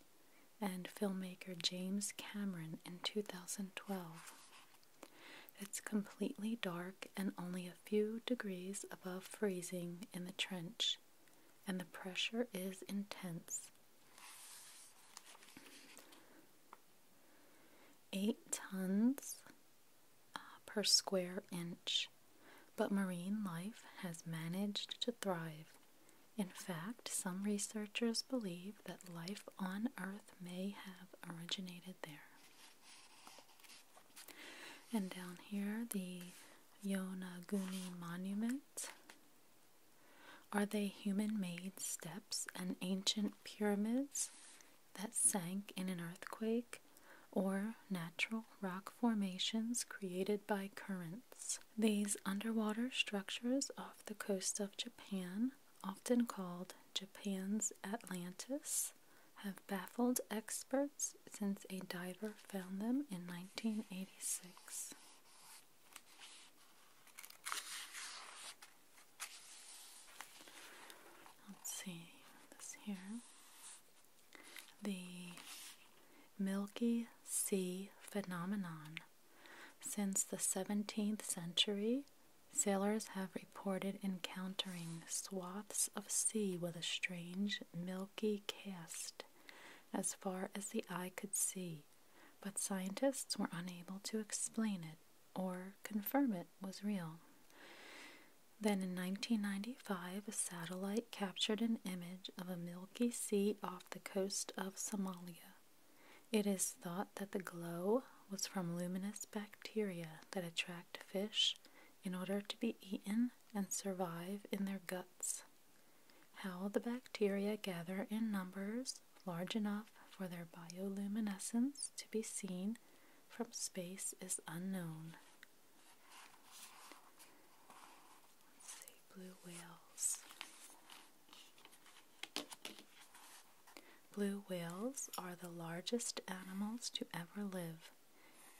and filmmaker James Cameron in 2012. It's completely dark and only a few degrees above freezing in the trench, and the pressure is intense. Eight tons uh, per square inch, but marine life has managed to thrive in fact, some researchers believe that life on Earth may have originated there. And down here, the Yonaguni Monument. Are they human made steps and ancient pyramids that sank in an earthquake or natural rock formations created by currents? These underwater structures off the coast of Japan, often called Japan's Atlantis, have baffled experts since a diver found them in 1986. Let's see this here. The Milky Sea phenomenon since the 17th century, sailors have reported encountering swaths of sea with a strange, milky cast as far as the eye could see, but scientists were unable to explain it or confirm it was real. Then in 1995, a satellite captured an image of a milky sea off the coast of Somalia. It is thought that the glow was from luminous bacteria that attract fish in order to be eaten and survive in their guts. How the bacteria gather in numbers large enough for their bioluminescence to be seen from space is unknown blue whales. Blue whales are the largest animals to ever live.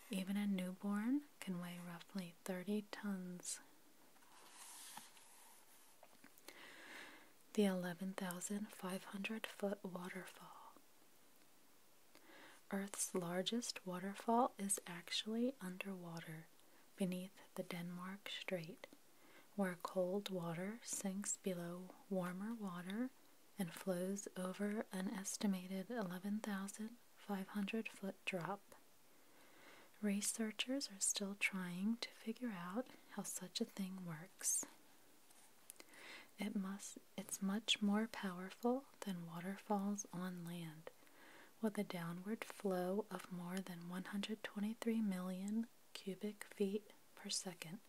Even a newborn can weigh roughly 30 tons. The 11,500 foot waterfall. Earth's largest waterfall is actually underwater beneath the Denmark Strait where cold water sinks below warmer water and flows over an estimated 11,500 foot drop. Researchers are still trying to figure out how such a thing works. It must it's much more powerful than waterfalls on land, with a downward flow of more than 123 million cubic feet per second,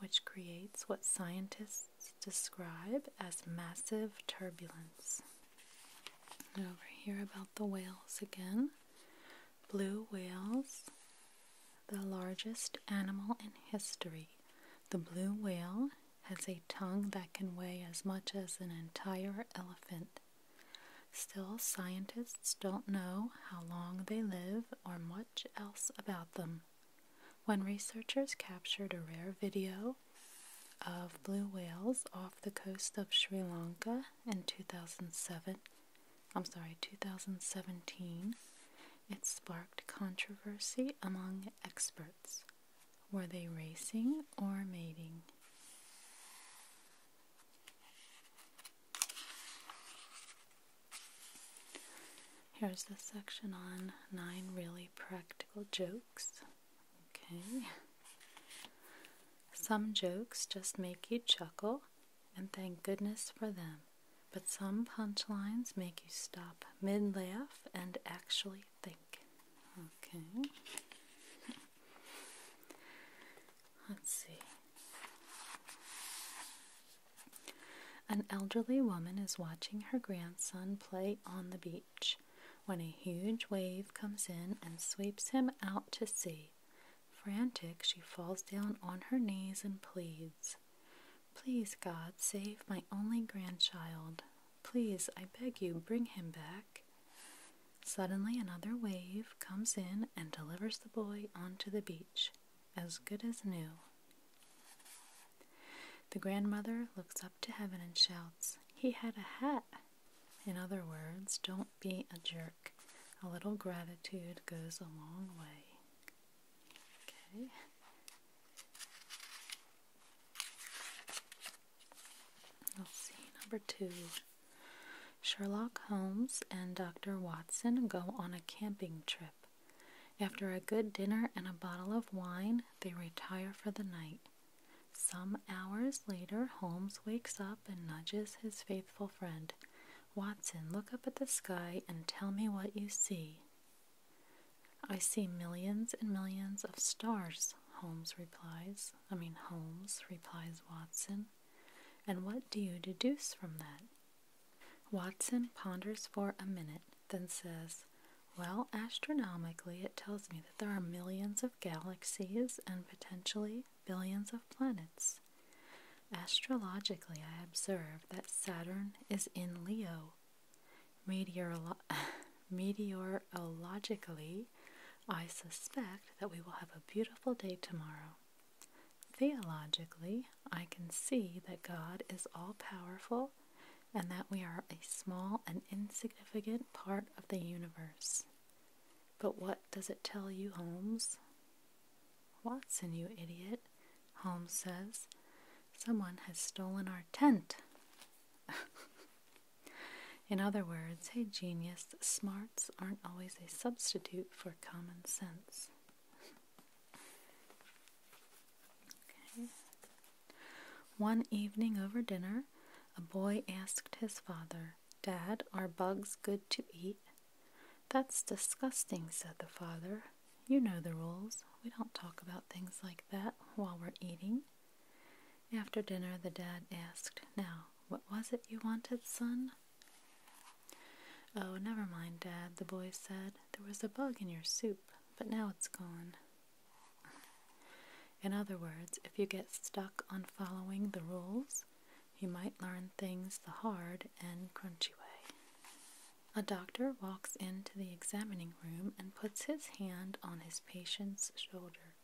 which creates what scientists describe as massive turbulence. And over here, about the whales again. Blue whales, the largest animal in history. The blue whale has a tongue that can weigh as much as an entire elephant. Still, scientists don't know how long they live or much else about them. When researchers captured a rare video of blue whales off the coast of Sri Lanka in 2007, I'm sorry, 2017, it sparked controversy among experts. Were they racing or mating? Here's the section on nine really practical jokes. Okay. Some jokes just make you chuckle, and thank goodness for them. But some punchlines make you stop mid laugh and actually think. Okay. Let's see. An elderly woman is watching her grandson play on the beach when a huge wave comes in and sweeps him out to sea. Frantic, she falls down on her knees and pleads, Please, God, save my only grandchild. Please, I beg you, bring him back. Suddenly, another wave comes in and delivers the boy onto the beach, as good as new. The grandmother looks up to heaven and shouts, He had a hat! In other words, don't be a jerk. A little gratitude goes a long way. Okay. Let's see, number two. Sherlock Holmes and Dr. Watson go on a camping trip. After a good dinner and a bottle of wine, they retire for the night. Some hours later, Holmes wakes up and nudges his faithful friend. Watson, look up at the sky and tell me what you see. I see millions and millions of stars, Holmes replies. I mean, Holmes replies Watson and what do you deduce from that? Watson ponders for a minute, then says, Well, astronomically, it tells me that there are millions of galaxies and potentially billions of planets. Astrologically, I observe that Saturn is in Leo. meteorologically, I suspect that we will have a beautiful day tomorrow. Theologically, I can see that God is all powerful and that we are a small and insignificant part of the universe. But what does it tell you, Holmes? Watson, you idiot, Holmes says. Someone has stolen our tent. In other words, hey genius, smarts aren't always a substitute for for common sense. One evening over dinner, a boy asked his father, Dad, are bugs good to eat? That's disgusting, said the father. You know the rules. We don't talk about things like that while we're eating. After dinner, the dad asked, Now, what was it you wanted, son? Oh, never mind, Dad, the boy said. There was a bug in your soup, but now it's gone. In other words, if you get stuck on following the rules, you might learn things the hard and crunchy way. A doctor walks into the examining room and puts his hand on his patient's shoulder.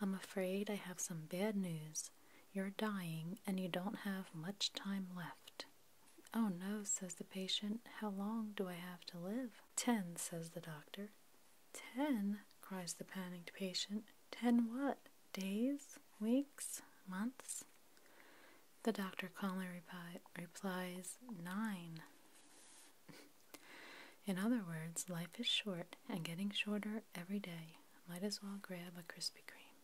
I'm afraid I have some bad news, you're dying and you don't have much time left. Oh no, says the patient. How long do I have to live? Ten, says the doctor. Ten? cries the panicked patient. Ten what? Days? Weeks? Months? The doctor calmly replies, Nine. In other words, life is short and getting shorter every day. Might as well grab a Krispy Kreme.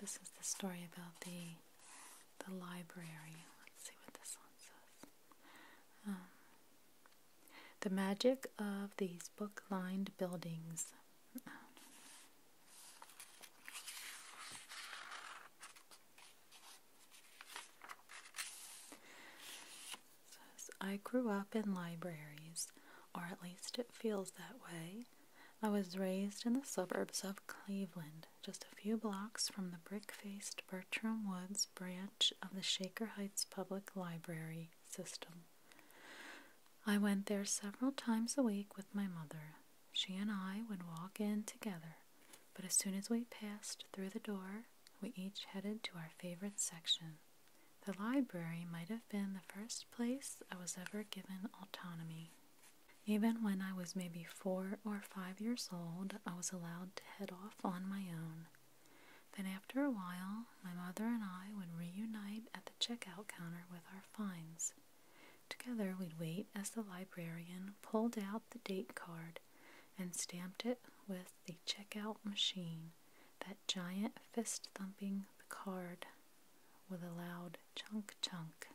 This is the story about the the library. Let's see what this one says. Um, the magic of these book lined buildings. I grew up in libraries, or at least it feels that way. I was raised in the suburbs of Cleveland, just a few blocks from the brick faced Bertram Woods branch of the Shaker Heights Public Library system. I went there several times a week with my mother. She and I would walk in together, but as soon as we passed through the door, we each headed to our favorite section. The library might have been the first place I was ever given autonomy. Even when I was maybe four or five years old, I was allowed to head off on my own. Then, after a while, my mother and I would reunite at the checkout counter with our finds. Together, we'd wait as the librarian pulled out the date card and stamped it with the checkout machine, that giant fist thumping the card with a loud chunk chunk,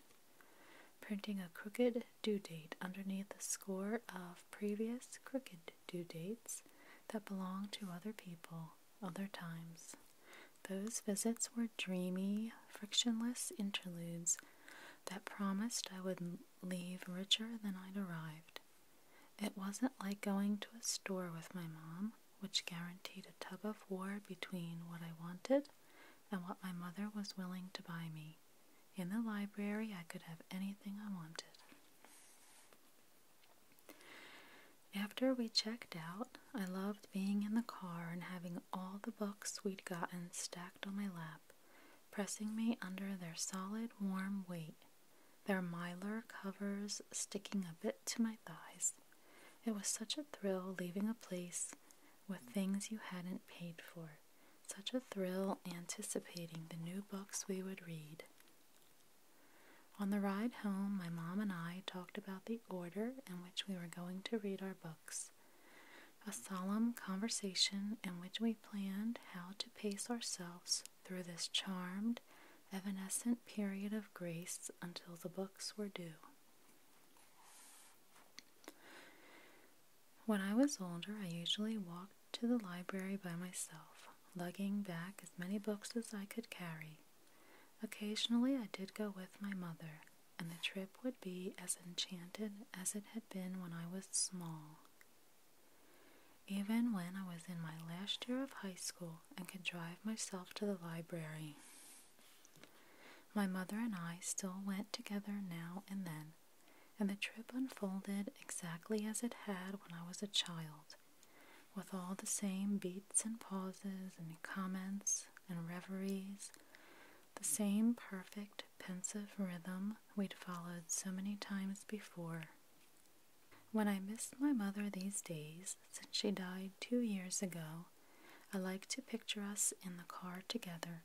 printing a crooked due date underneath the score of previous crooked due dates that belong to other people, other times. Those visits were dreamy, frictionless interludes that promised I would leave richer than I'd arrived. It wasn't like going to a store with my mom, which guaranteed a tug of war between what I wanted and what my mother was willing to buy me. In the library, I could have anything I wanted. After we checked out, I loved being in the car and having all the books we'd gotten stacked on my lap, pressing me under their solid, warm weight, their mylar covers sticking a bit to my thighs. It was such a thrill leaving a place with things you hadn't paid for, such a thrill anticipating the new books we would read. On the ride home, my mom and I talked about the order in which we were going to read our books, a solemn conversation in which we planned how to pace ourselves through this charmed, evanescent period of grace until the books were due. When I was older, I usually walked to the library by myself lugging back as many books as I could carry. Occasionally I did go with my mother, and the trip would be as enchanted as it had been when I was small. Even when I was in my last year of high school and could drive myself to the library. My mother and I still went together now and then, and the trip unfolded exactly as it had when I was a child with all the same beats and pauses and comments and reveries, the same perfect pensive rhythm we'd followed so many times before. When I miss my mother these days, since she died two years ago, I like to picture us in the car together,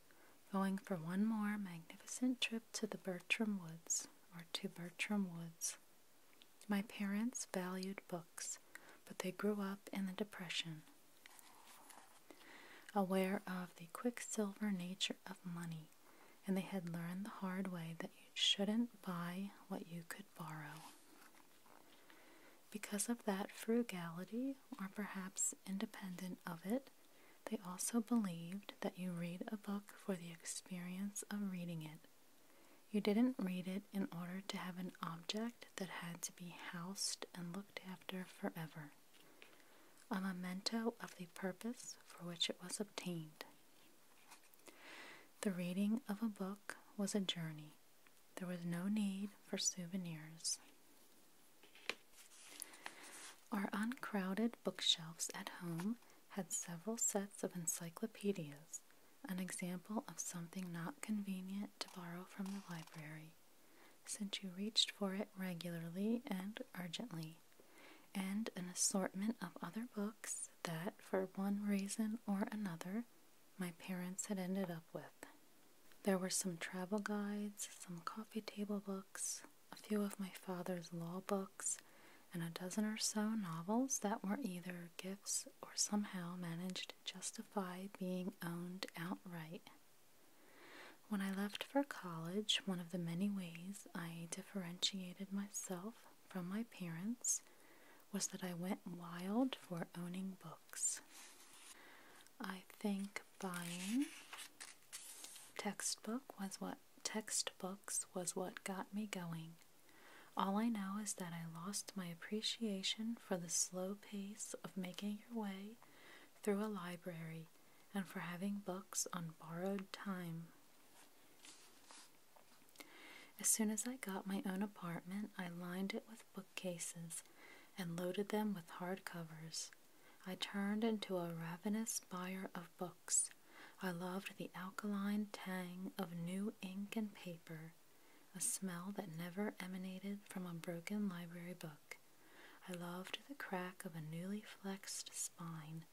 going for one more magnificent trip to the Bertram Woods, or to Bertram Woods. My parents valued books, but they grew up in the Depression. Aware of the quicksilver nature of money, and they had learned the hard way that you shouldn't buy what you could borrow. Because of that frugality, or perhaps independent of it, they also believed that you read a book for the experience of reading it you didn't read it in order to have an object that had to be housed and looked after forever, a memento of the purpose for which it was obtained. The reading of a book was a journey. There was no need for souvenirs. Our uncrowded bookshelves at home had several sets of encyclopedias an example of something not convenient to borrow from the library, since you reached for it regularly and urgently, and an assortment of other books that, for one reason or another, my parents had ended up with. There were some travel guides, some coffee table books, a few of my father's law books and a dozen or so novels that were either gifts or somehow managed to justify being owned outright. When I left for college, one of the many ways I differentiated myself from my parents was that I went wild for owning books. I think buying textbook was what textbooks was what got me going. All I know is that I lost my appreciation for the slow pace of making your way through a library and for having books on borrowed time. As soon as I got my own apartment, I lined it with bookcases and loaded them with hard covers. I turned into a ravenous buyer of books. I loved the alkaline tang of new ink and paper, a smell that never emanated from a broken library book. I loved the crack of a newly flexed spine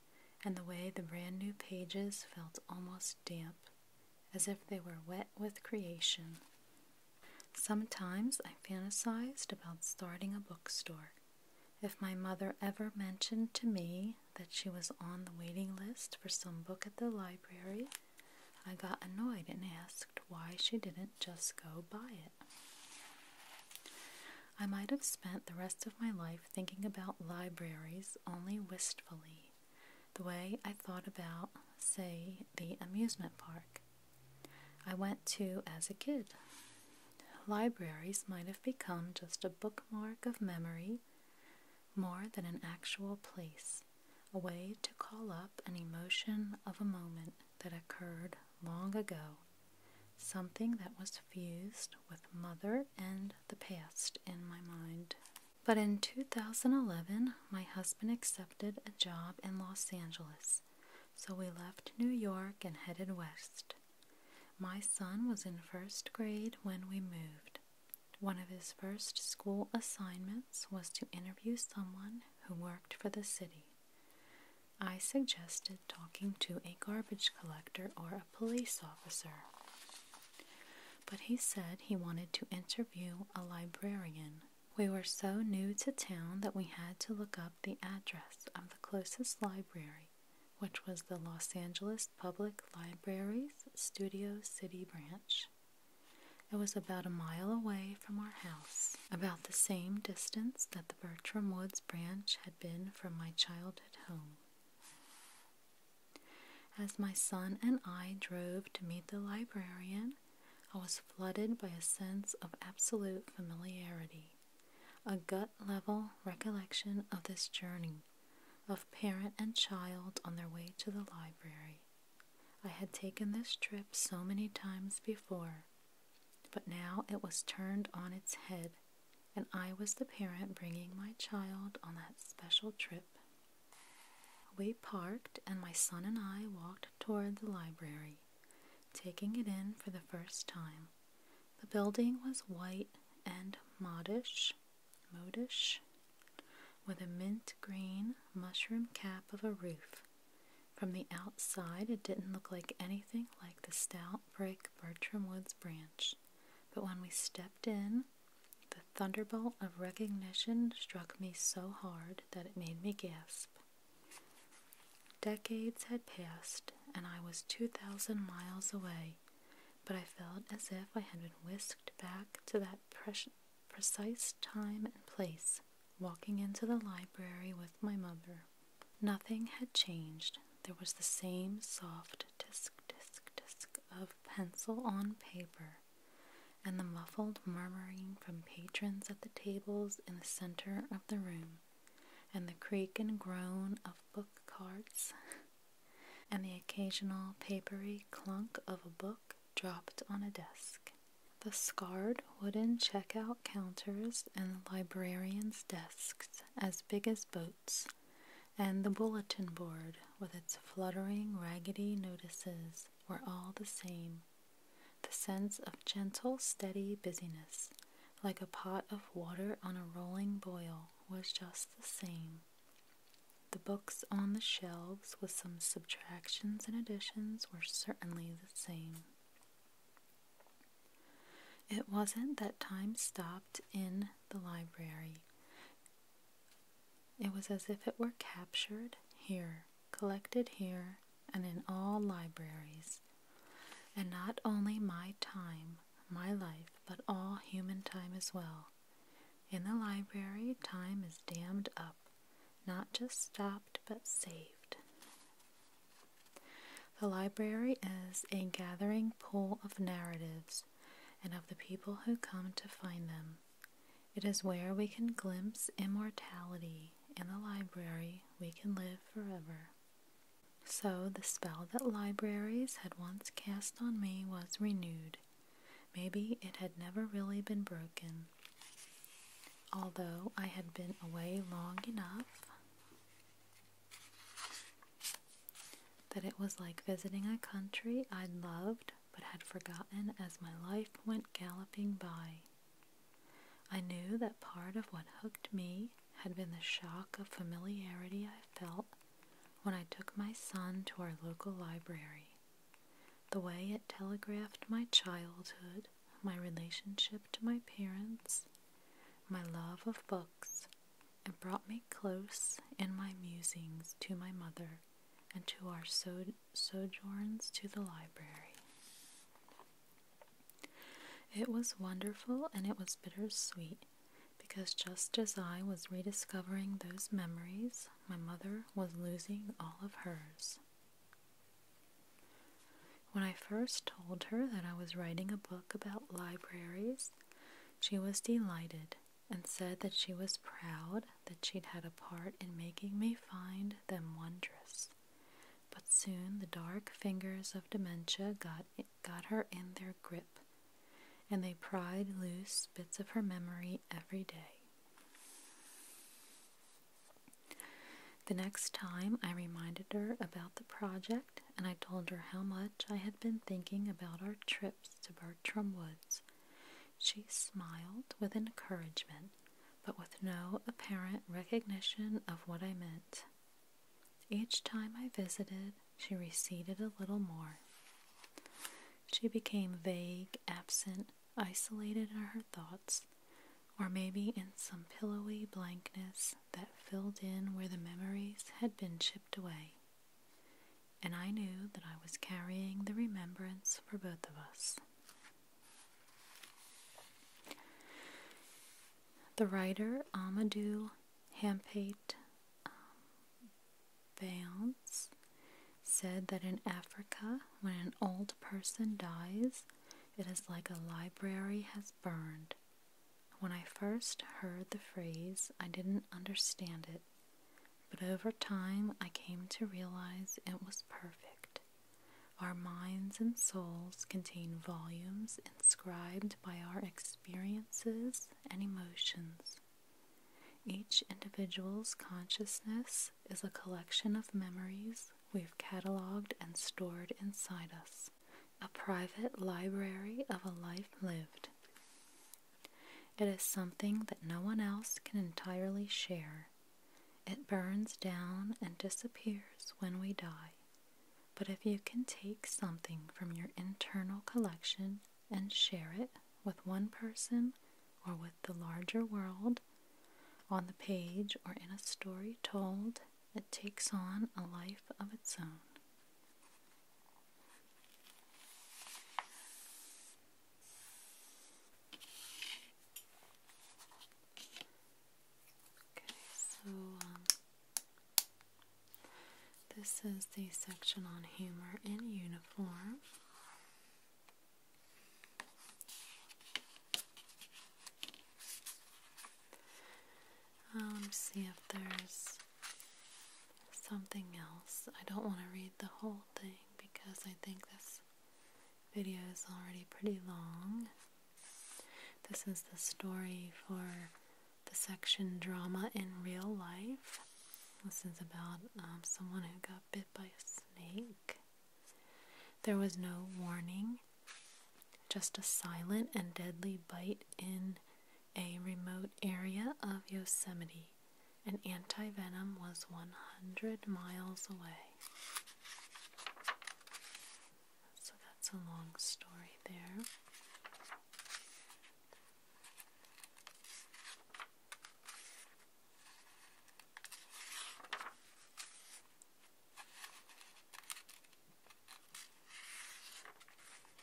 and the way the brand new pages felt almost damp, as if they were wet with creation. Sometimes I fantasized about starting a bookstore. If my mother ever mentioned to me that she was on the waiting list for some book at the library, I got annoyed and asked why she didn't just go buy it. I might have spent the rest of my life thinking about libraries only wistfully, the way I thought about, say, the amusement park I went to as a kid. Libraries might have become just a bookmark of memory more than an actual place, a way to call up an emotion of a moment that occurred long ago, something that was fused with mother and the past in my mind. But in 2011, my husband accepted a job in Los Angeles, so we left New York and headed west. My son was in first grade when we moved. One of his first school assignments was to interview someone who worked for the city. I suggested talking to a garbage collector or a police officer. But he said he wanted to interview a librarian. We were so new to town that we had to look up the address of the closest library, which was the Los Angeles Public Libraries Studio City branch. It was about a mile away from our house, about the same distance that the Bertram Woods branch had been from my childhood home. As my son and I drove to meet the librarian, I was flooded by a sense of absolute familiarity, a gut level recollection of this journey of parent and child on their way to the library. I had taken this trip so many times before, but now it was turned on its head, and I was the parent bringing my child on that special trip. We parked, and my son and I walked toward the library, taking it in for the first time. The building was white and modish, modish, with a mint green mushroom cap of a roof. From the outside, it didn't look like anything like the stout brick Bertram Woods branch, but when we stepped in, the thunderbolt of recognition struck me so hard that it made me gasp. Decades had passed, and I was 2,000 miles away, but I felt as if I had been whisked back to that precise time and place, walking into the library with my mother. Nothing had changed. There was the same soft disk, disk, disk of pencil on paper, and the muffled murmuring from patrons at the tables in the center of the room, and the creak and groan of book carts and the occasional papery clunk of a book dropped on a desk. The scarred wooden checkout counters and the librarian's desks, as big as boats, and the bulletin board with its fluttering, raggedy notices were all the same. The sense of gentle, steady busyness, like a pot of water on a rolling boil, was just the same. The books on the shelves, with some subtractions and additions, were certainly the same. It wasn't that time stopped in the library. It was as if it were captured here, collected here, and in all libraries. And not only my time, my life, but all human time as well in the library, time is dammed up, not just stopped but saved. The library is a gathering pool of narratives and of the people who come to find them. It is where we can glimpse immortality. In the library, we can live forever. So the spell that libraries had once cast on me was renewed, Maybe it had never really been broken. Although I had been away long enough that it was like visiting a country I would loved but had forgotten as my life went galloping by. I knew that part of what hooked me had been the shock of familiarity I felt when I took my son to our local library. The way it telegraphed my childhood, my relationship to my parents, my love of books, it brought me close in my musings to my mother and to our sojourns to the library. It was wonderful and it was bittersweet because just as I was rediscovering those memories, my mother was losing all of hers. When I first told her that I was writing a book about libraries, she was delighted and said that she was proud that she'd had a part in making me find them wondrous. But soon the dark fingers of dementia got, got her in their grip, and they pried loose bits of her memory every day. The next time I reminded her about the project and I told her how much I had been thinking about our trips to Bertram Woods. She smiled with encouragement, but with no apparent recognition of what I meant. Each time I visited, she receded a little more. She became vague, absent, isolated in her thoughts, or maybe in some pillowy blankness that filled in where the memories had been chipped away. And I knew that I was carrying the remembrance for both of us. The writer Amadou Hampate um, Valence said that in Africa, when an old person dies, it is like a library has burned. When I first heard the phrase, I didn't understand it, but over time I came to realize it was perfect. Our minds and souls contain volumes inscribed by our experiences and emotions. Each individual's consciousness is a collection of memories we've catalogued and stored inside us, a private library of a life lived. It is something that no one else can entirely share. It burns down and disappears when we die. But if you can take something from your internal collection and share it with one person or with the larger world on the page or in a story told, it takes on a life of its own. Okay, so um, this is the section on humor in uniform. Um, let me see if there's something else. I don't want to read the whole thing because I think this video is already pretty long. This is the story for the section Drama in Real Life. This is about um, someone who got bit by a snake. There was no warning, just a silent and deadly bite in a remote area of Yosemite. An anti venom was 100 miles away. So that's a long story there.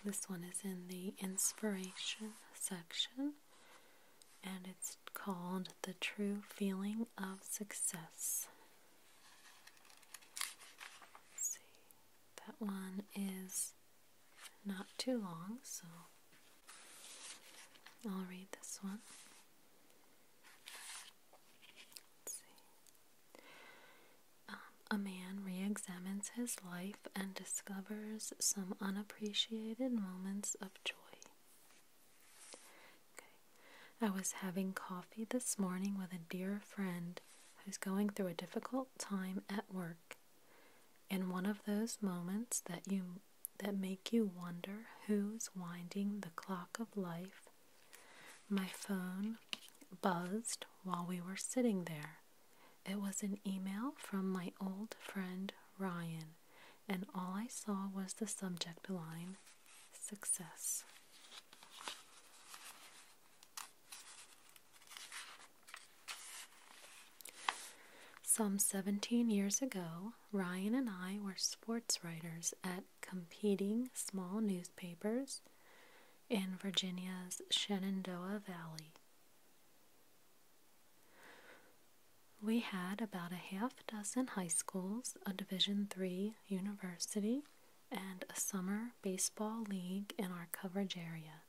This one is in the inspiration section and it's called The True Feeling of Success. see, that one is not too long, so I'll read this one. Um, a man re examines his life and discovers some unappreciated moments of joy. I was having coffee this morning with a dear friend who's going through a difficult time at work. In one of those moments that you that make you wonder who's winding the clock of life. My phone buzzed while we were sitting there. It was an email from my old friend Ryan, and all I saw was the subject line success. Some 17 years ago, Ryan and I were sports writers at competing small newspapers in Virginia's Shenandoah Valley. We had about a half dozen high schools, a Division III university, and a summer baseball league in our coverage area.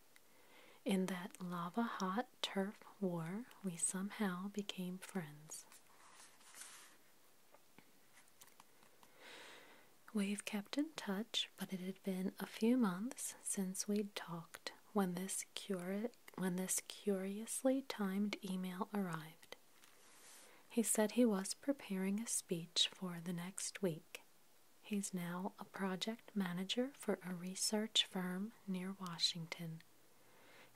In that lava hot hot turf war, we somehow became friends. We've kept in touch, but it had been a few months since we'd talked when this, curi- when this curiously timed email arrived. He said he was preparing a speech for the next week. He's now a project manager for a research firm near Washington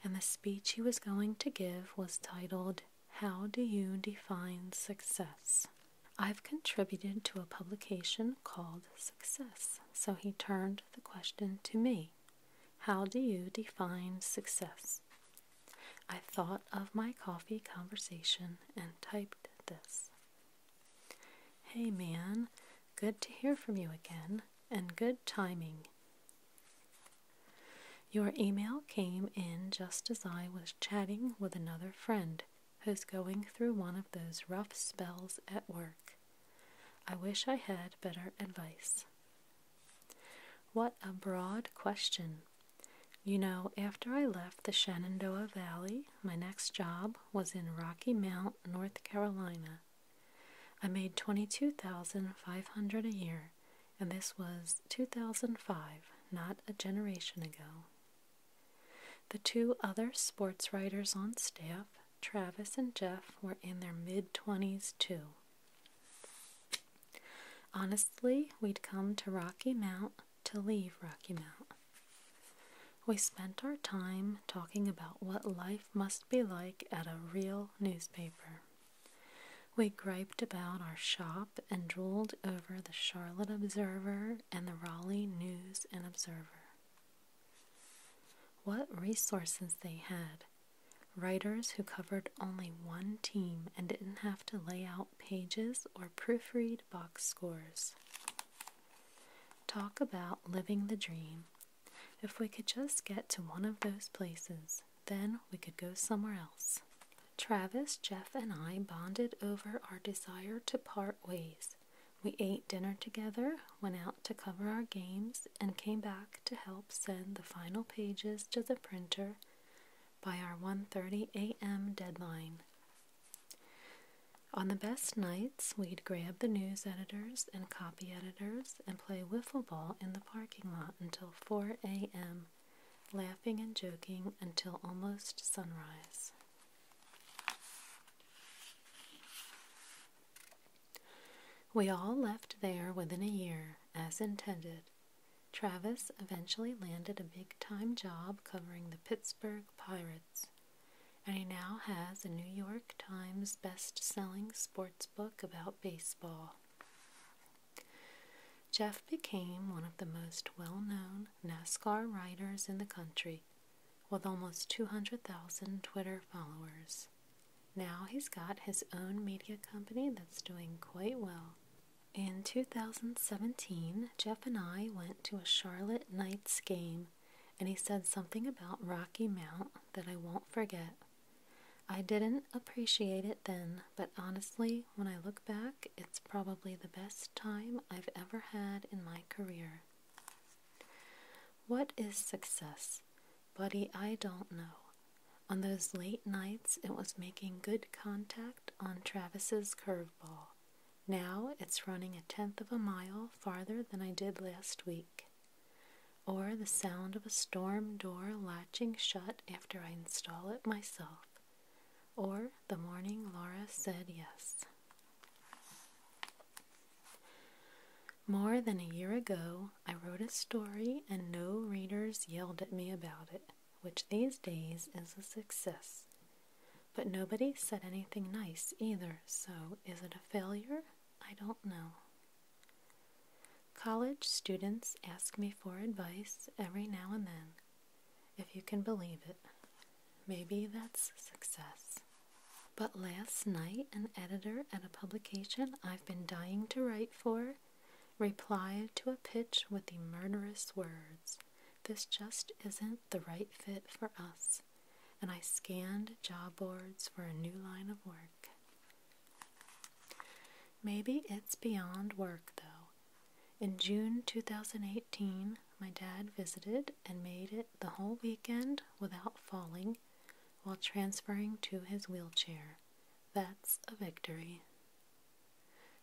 and the speech he was going to give was titled, How Do You Define Success? I've contributed to a publication called Success, so he turned the question to me How do you define success? I thought of my coffee conversation and typed this. Hey man, Good to hear from you again, and good timing. Your email came in just as I was chatting with another friend who's going through one of those rough spells at work. I wish I had better advice. What a broad question. You know, after I left the Shenandoah Valley, my next job was in Rocky Mount, North Carolina. I made twenty-two thousand five hundred a year, and this was two thousand five, not a generation ago. The two other sports writers on staff, Travis and Jeff, were in their mid twenties too. Honestly, we'd come to Rocky Mount to leave Rocky Mount. We spent our time talking about what life must be like at a real newspaper. We griped about our shop and drooled over the Charlotte Observer and the Raleigh News and Observer. What resources they had! Writers who covered only one team and didn't have to lay out pages or proofread box scores. Talk about living the dream. If we could just get to one of those places, then we could go somewhere else. Travis, Jeff, and I bonded over our desire to part ways. We ate dinner together, went out to cover our games, and came back to help send the final pages to the printer by our 1:30 a.m. deadline. On the best nights, we'd grab the news editors and copy editors and play wiffle ball in the parking lot until 4 a.m., laughing and joking until almost sunrise. We all left there within a year, as intended. Travis eventually landed a big time job covering the Pittsburgh Pirates, and he now has a New York Times best selling sports book about baseball. Jeff became one of the most well known NASCAR writers in the country with almost 200,000 Twitter followers. Now he's got his own media company that's doing quite well. In 2017, Jeff and I went to a Charlotte Knights game, and he said something about Rocky Mount that I won't forget. I didn't appreciate it then, but honestly, when I look back, it's probably the best time I've ever had in my career. What is success? Buddy, I don't know. On those late nights, it was making good contact on Travis's curveball. Now it's running a tenth of a mile farther than I did last week or the sound of a storm door latching shut after I install it myself, or the morning Laura said yes. More than a year ago, I wrote a story and no readers yelled at me about it, which these days is a success. But nobody said anything nice either, so is it a failure? I don't know. College students ask me for advice every now and then, if you can believe it. Maybe that's success. But last night, an editor at a publication I've been dying to write for replied to a pitch with the murderous words This just isn't the right fit for us. And I scanned job boards for a new line of work. Maybe it's beyond work, though. In June 2018, my dad visited and made it the whole weekend without falling while transferring to his wheelchair. That's a victory.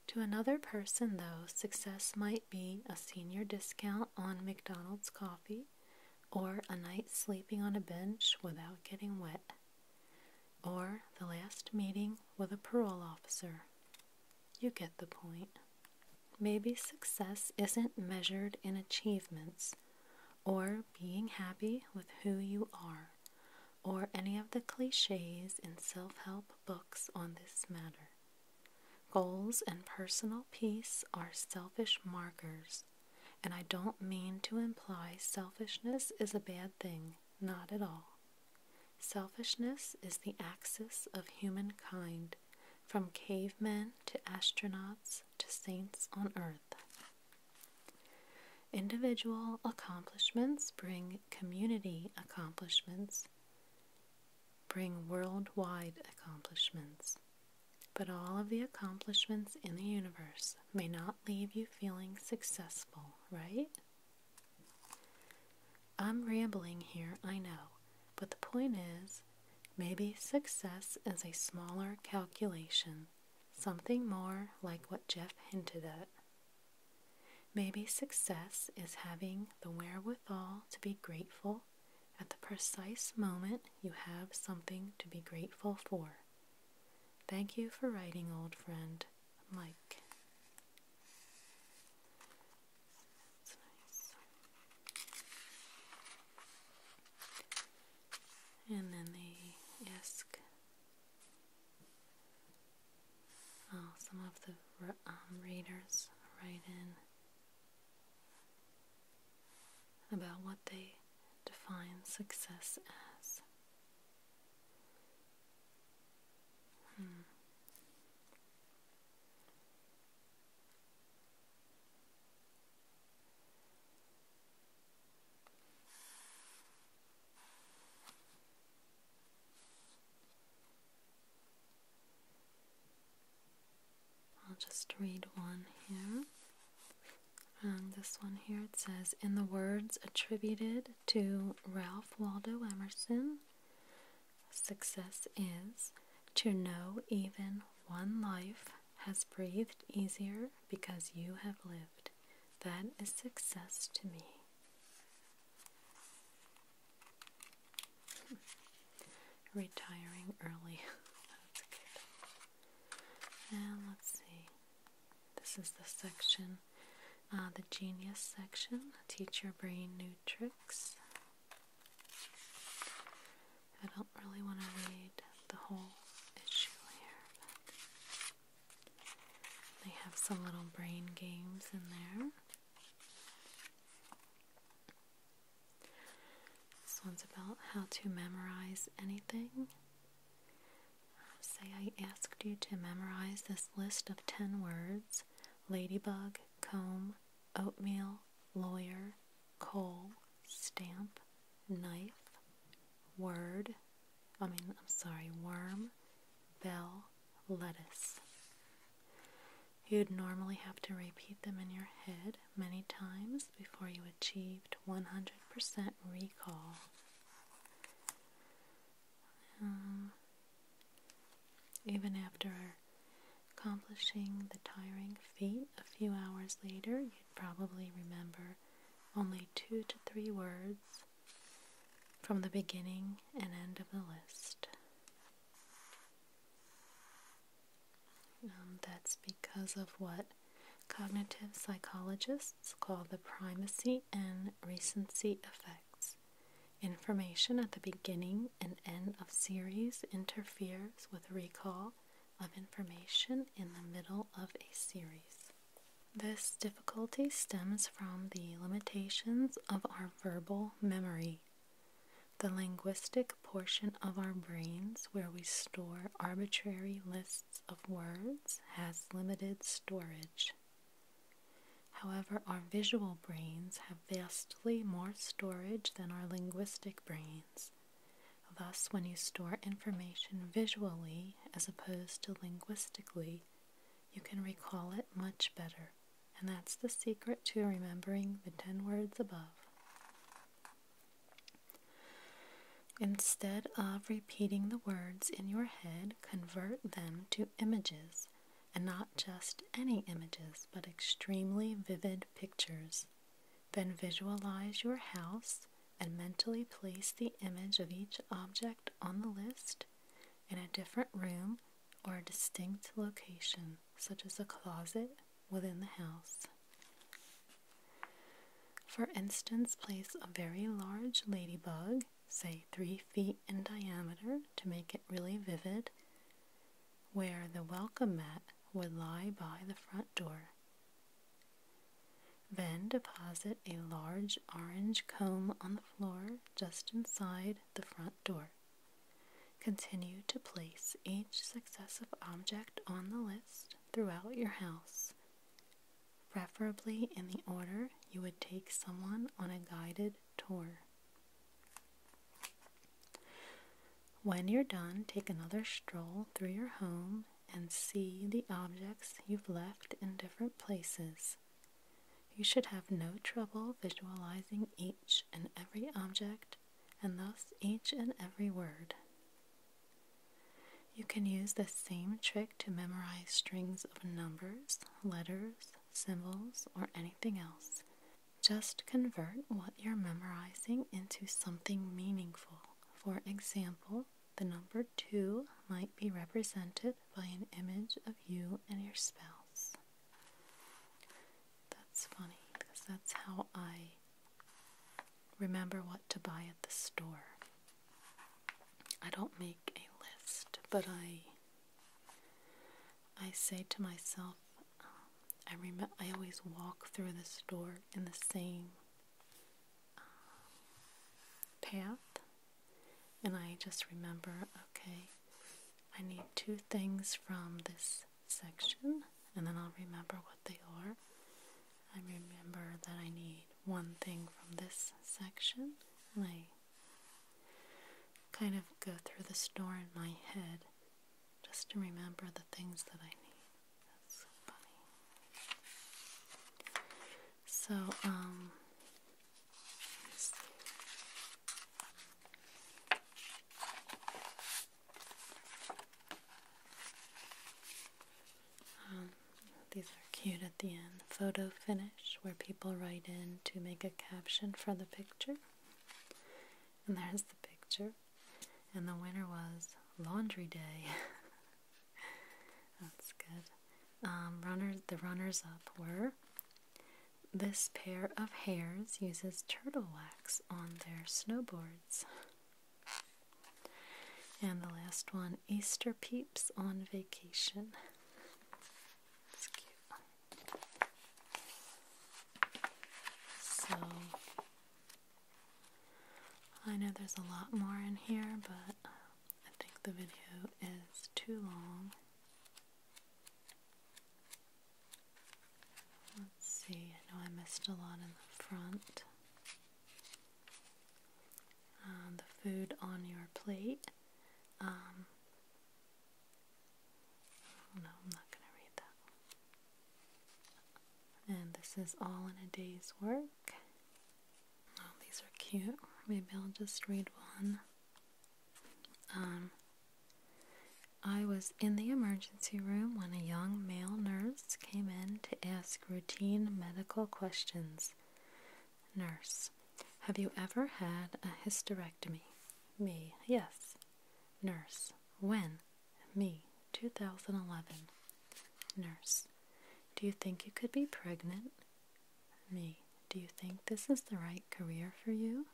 To another person, though, success might be a senior discount on McDonald's coffee or a night sleeping on a bench without getting wet or the last meeting with a parole officer. You get the point. Maybe success isn't measured in achievements or being happy with who you are or any of the cliches in self help books on this matter. Goals and personal peace are selfish markers and I don't mean to imply selfishness is a bad thing, not at all. Selfishness is the axis of humankind, from cavemen to astronauts to saints on earth. Individual accomplishments bring community accomplishments, bring worldwide accomplishments, but all of the accomplishments in the universe may not leave you feeling successful, right? I'm rambling here, I know, but the point is maybe success is a smaller calculation, something more like what Jeff hinted at. Maybe success is having the wherewithal to be grateful at the precise moment you have something to be grateful for. Thank you for writing, old friend Mike. And then the ISK. Oh, some of the um, readers write in about what they define success as. I'll just read one here. And this one here it says, in the words attributed to Ralph Waldo Emerson, success is to know even one life has breathed easier because you have lived. That is success to me. Retiring early. That's good. And let's see. This is the section, uh, the Genius section. Teach your brain new tricks. I don't really want to read the whole issue here, they have some little brain games in there. This one's about how to memorize anything. Say, I asked you to memorize this list of 10 words ladybug, comb, oatmeal, lawyer, coal, stamp, knife, word, I mean, I'm sorry, worm, bell, lettuce. You'd normally have to repeat them in your head many times before you achieved 100% recall. Uh, even after accomplishing the tiring feat a few hours later, you'd probably remember only two to three words from the beginning and end of the list. Um, that's because of what Cognitive psychologists call the primacy and recency effects. Information at the beginning and end of series interferes with recall of information in the middle of a series. This difficulty stems from the limitations of our verbal memory. The linguistic portion of our brains, where we store arbitrary lists of words has limited storage. However, our visual brains have vastly more storage than our linguistic brains. Thus, when you store information visually as opposed to linguistically, you can recall it much better. And that's the secret to remembering the 10 words above. Instead of repeating the words in your head, convert them to images, and not just any images, but extremely vivid pictures. Then visualize your house and mentally place the image of each object on the list in a different room or a distinct location, such as a closet within the house. For instance, place a very large ladybug say three feet in diameter to make it really vivid, where the welcome mat would lie by the front door. Then deposit a large orange comb on the floor just inside the front door. Continue to place each successive object on the list throughout your house preferably in the order you would take someone on a guided tour. When you're done, take another stroll through your home and see the objects you've left in different places. You should have no trouble visualizing each and every object and thus each and every word. You can use the same trick to memorize strings of numbers, letters, symbols, or anything else. Just convert what you're memorizing into something meaningful. For example, the number 2 might be represented by an image of you and your spouse. That's funny because that's how I remember what to buy at the store. I don't make a list, but I I say to myself, um, I remember I always walk through the store in the same um, path, and I just remember, okay, I need two things from this section, and then I'll remember what they are. I remember that I need one thing from this section, and I kind of go through the store in my head just to remember the things that I need. so So, um, um, these are cute at the end. Photo finish, where people write in to make a caption for the picture. And there's the picture. And the winner was Laundry Day. That's good. Um, the runners up were this pair of hares uses turtle wax on their snowboards. And the last one, Easter peeps on vacation. So, I know there's a lot more in here, but I think the video is too long. Let's see, I know I missed a lot in the front. Uh, the food on your plate. Um, oh, no, I'm not going to read that And this is all in a day's work. these are cute. Maybe I'll just read one. Um, I was in the emergency room when a young male nurse came in to ask routine medical questions. Nurse. Have you ever had a hysterectomy? Me. Yes. Nurse. When? Me. 2011. Nurse. Do you think you could be pregnant? Me. Do you think this is the right career for you?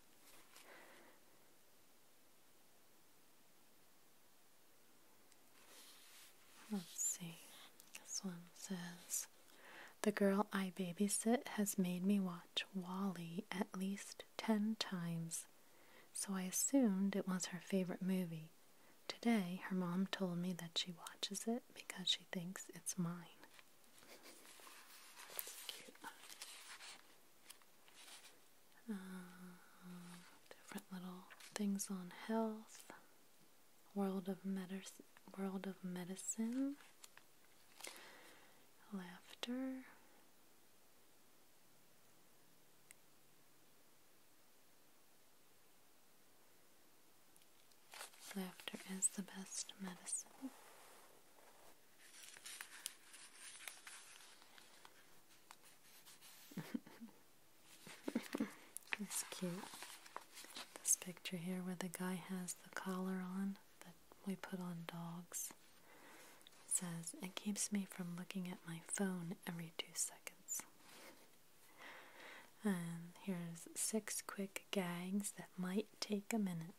Let's see. This one says the girl I babysit has made me watch Wally at least ten times, so I assumed it was her favorite movie. Today, her mom told me that she watches it because she thinks it's mine. Uh, different little things on health. World of Medicine, World of Medicine, Laughter. Laughter is the best medicine. That's cute. This picture here where the guy has the collar on that we put on dogs. says, It keeps me from looking at my phone every two seconds. And here's six quick gags that might take a minute.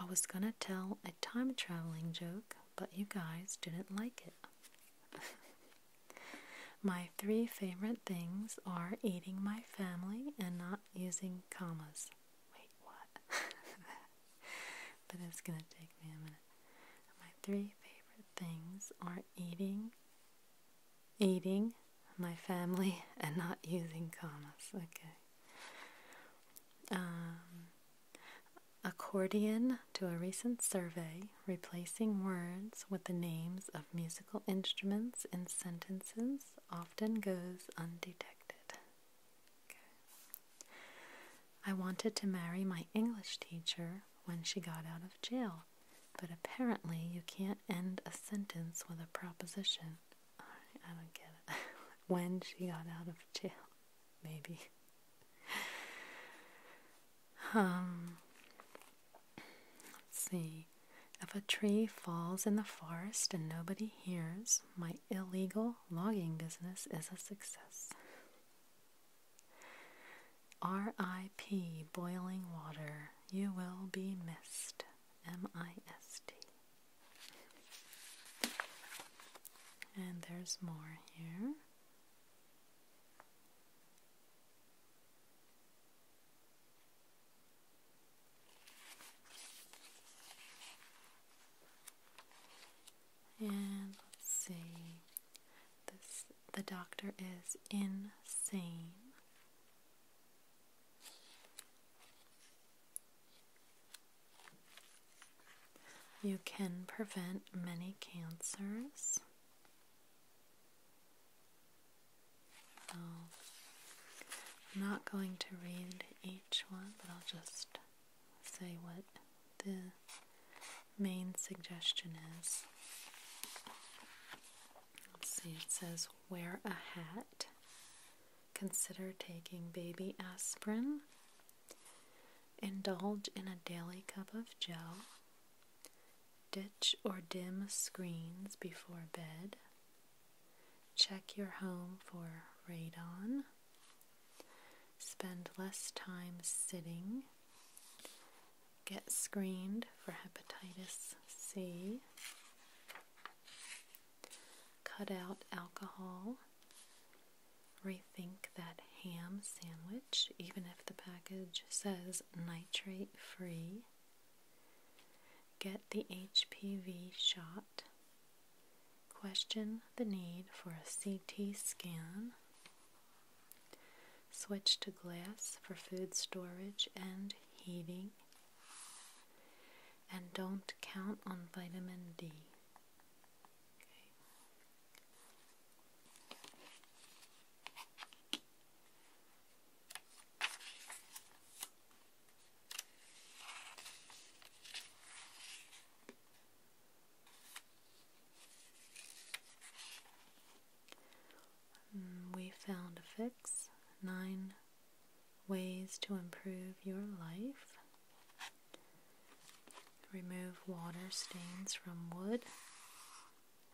I was gonna tell a time traveling joke, but you guys didn't like it. My three favorite things are eating my family and not using commas. Wait, what? but it's gonna take me a minute. My three favorite things are eating, eating my family, and not using commas. Okay. Um, accordion to a recent survey replacing words with the names of musical instruments in sentences often goes undetected. I wanted to marry my English teacher when she got out of jail, but apparently you can't end a sentence with a proposition. I don't get it. when she got out of jail, maybe. Um, let's see. If a tree falls in the forest and nobody hears, my illegal logging business is a success. R.I.P. Boiling Water. You will be missed. M I S T. And there's more here. And let's see. This the doctor is insane. You can prevent many cancers. I'm not going to read each one, but I'll just say what the main suggestion is. Let's see, it says wear a hat. Consider taking baby aspirin. Indulge in a daily cup of joe. Ditch or dim screens before bed. Check your home for radon. Spend less time sitting. Get screened for hepatitis C. Cut out alcohol. Rethink that ham sandwich, even if the package says nitrate free. Get the HPV shot. Question the need for a CT scan. Switch to glass for food storage and heating. And don't count on vitamin D. Mm, we found a fix nine ways to improve your life. Remove water stains from wood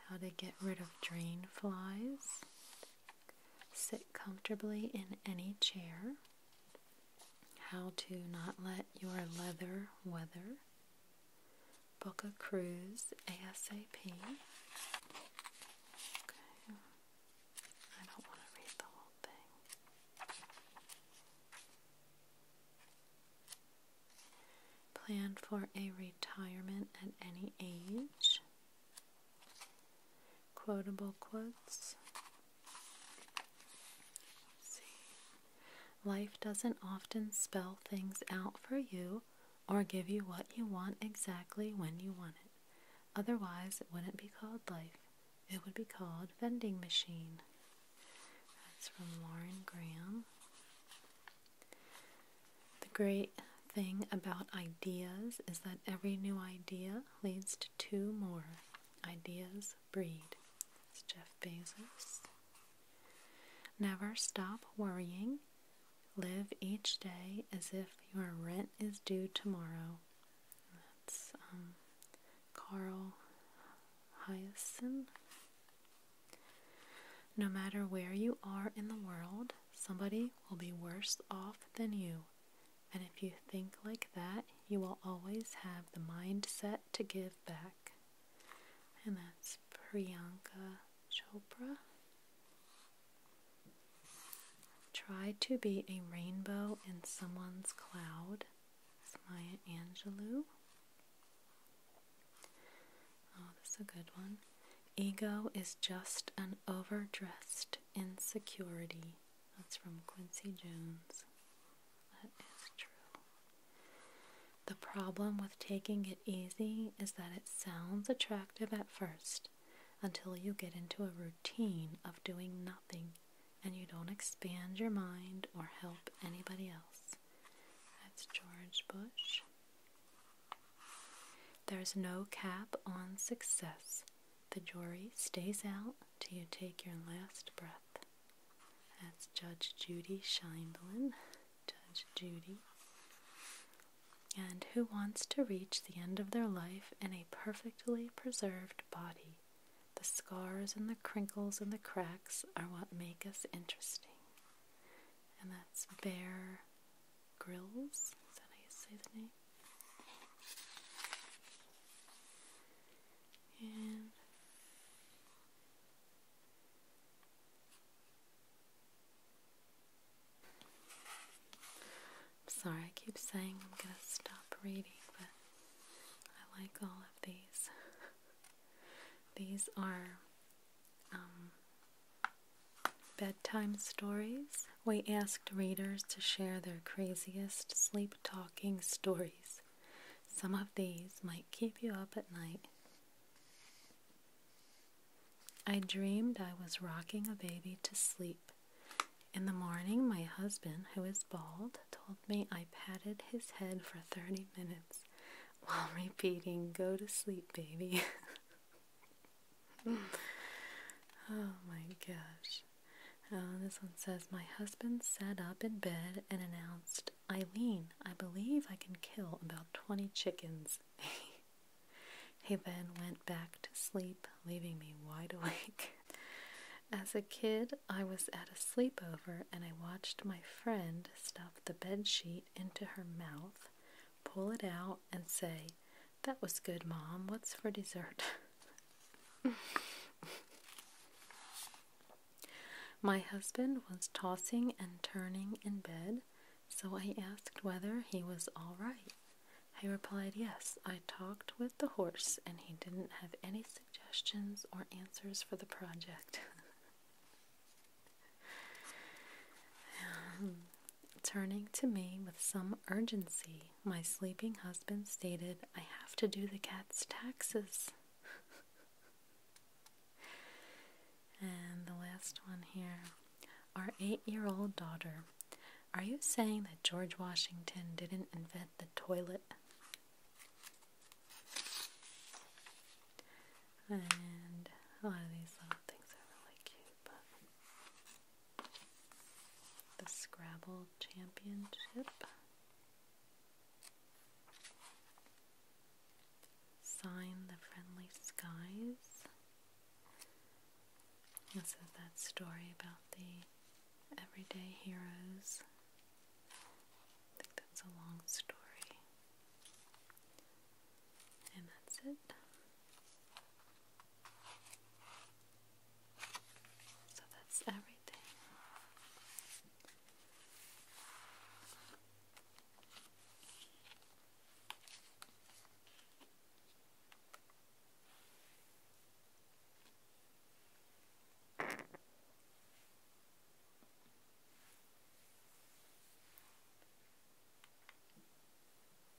how to get rid of drain flies. Sit comfortably in any chair. How to not let your leather weather. Book a cruise ASAP. Okay. I don't want to read the whole thing. Plan for a retirement at any age. Quotable quotes. see. Life doesn't often spell things out for you or give you what you want exactly when you want it. Otherwise, it wouldn't be called life. It would be called vending machine. That's from Lauren Graham. The great thing about ideas is that every new idea leads to two more. Ideas breed. It's Jeff Bezos. Never stop worrying. Live each day as if your rent is due tomorrow. That's um, Carl Hyacin. No matter where you are in the world, somebody will be worse off than you. And if you think like that, you will always have the mindset to give back. And that's Priyanka Chopra. Try to be a rainbow in someone's cloud. It's Maya Angelou. Oh, this a good one. Ego is just an overdressed insecurity. That's from Quincy Jones. That is true. The problem with taking it easy is that it sounds attractive at first until you get into a routine of doing nothing and you don't expand your mind or help anybody else. That's George Bush. There's no cap on success. The jury stays out till you take your last breath. That's Judge Judy Scheinblum. Judge Judy. And who wants to reach the end of their life in a perfectly preserved body? The scars and the crinkles and the cracks are what make us interesting. And that's Bear Grills. Is that how you say the name? sorry, I keep saying I'm gonna stop reading, but I like all of these. these are um, Bedtime Stories, we asked readers to share their craziest sleep talking stories. Some of these might keep you up at night. I dreamed I was rocking a baby to sleep. In the morning, my husband, who is bald, told me I patted his head for 30 minutes while repeating, Go to sleep, baby. oh my gosh. Oh, this one says My husband sat up in bed and announced, Eileen, I believe I can kill about 20 chickens. he then went back to sleep, leaving me wide awake. As a kid, I was at a sleepover and I watched my friend stuff the bed sheet into her mouth, pull it out, and say, that was good, Mom. What's for dessert? My husband was tossing and turning in bed, so I asked whether he was all right. He replied, Yes, I talked with the horse, and he didn't have any suggestions or answers for the project. Um, Turning to me with some urgency, my sleeping husband stated, I have to do the cat's taxes. and the last one here. Our eight year old daughter. Are you saying that George Washington didn't invent the toilet? And a these little things are really cute, the Scrabble Championship, Sign the Friendly Skies. This is that story about the everyday heroes. I think that's a long story. And that's it. So that's everything.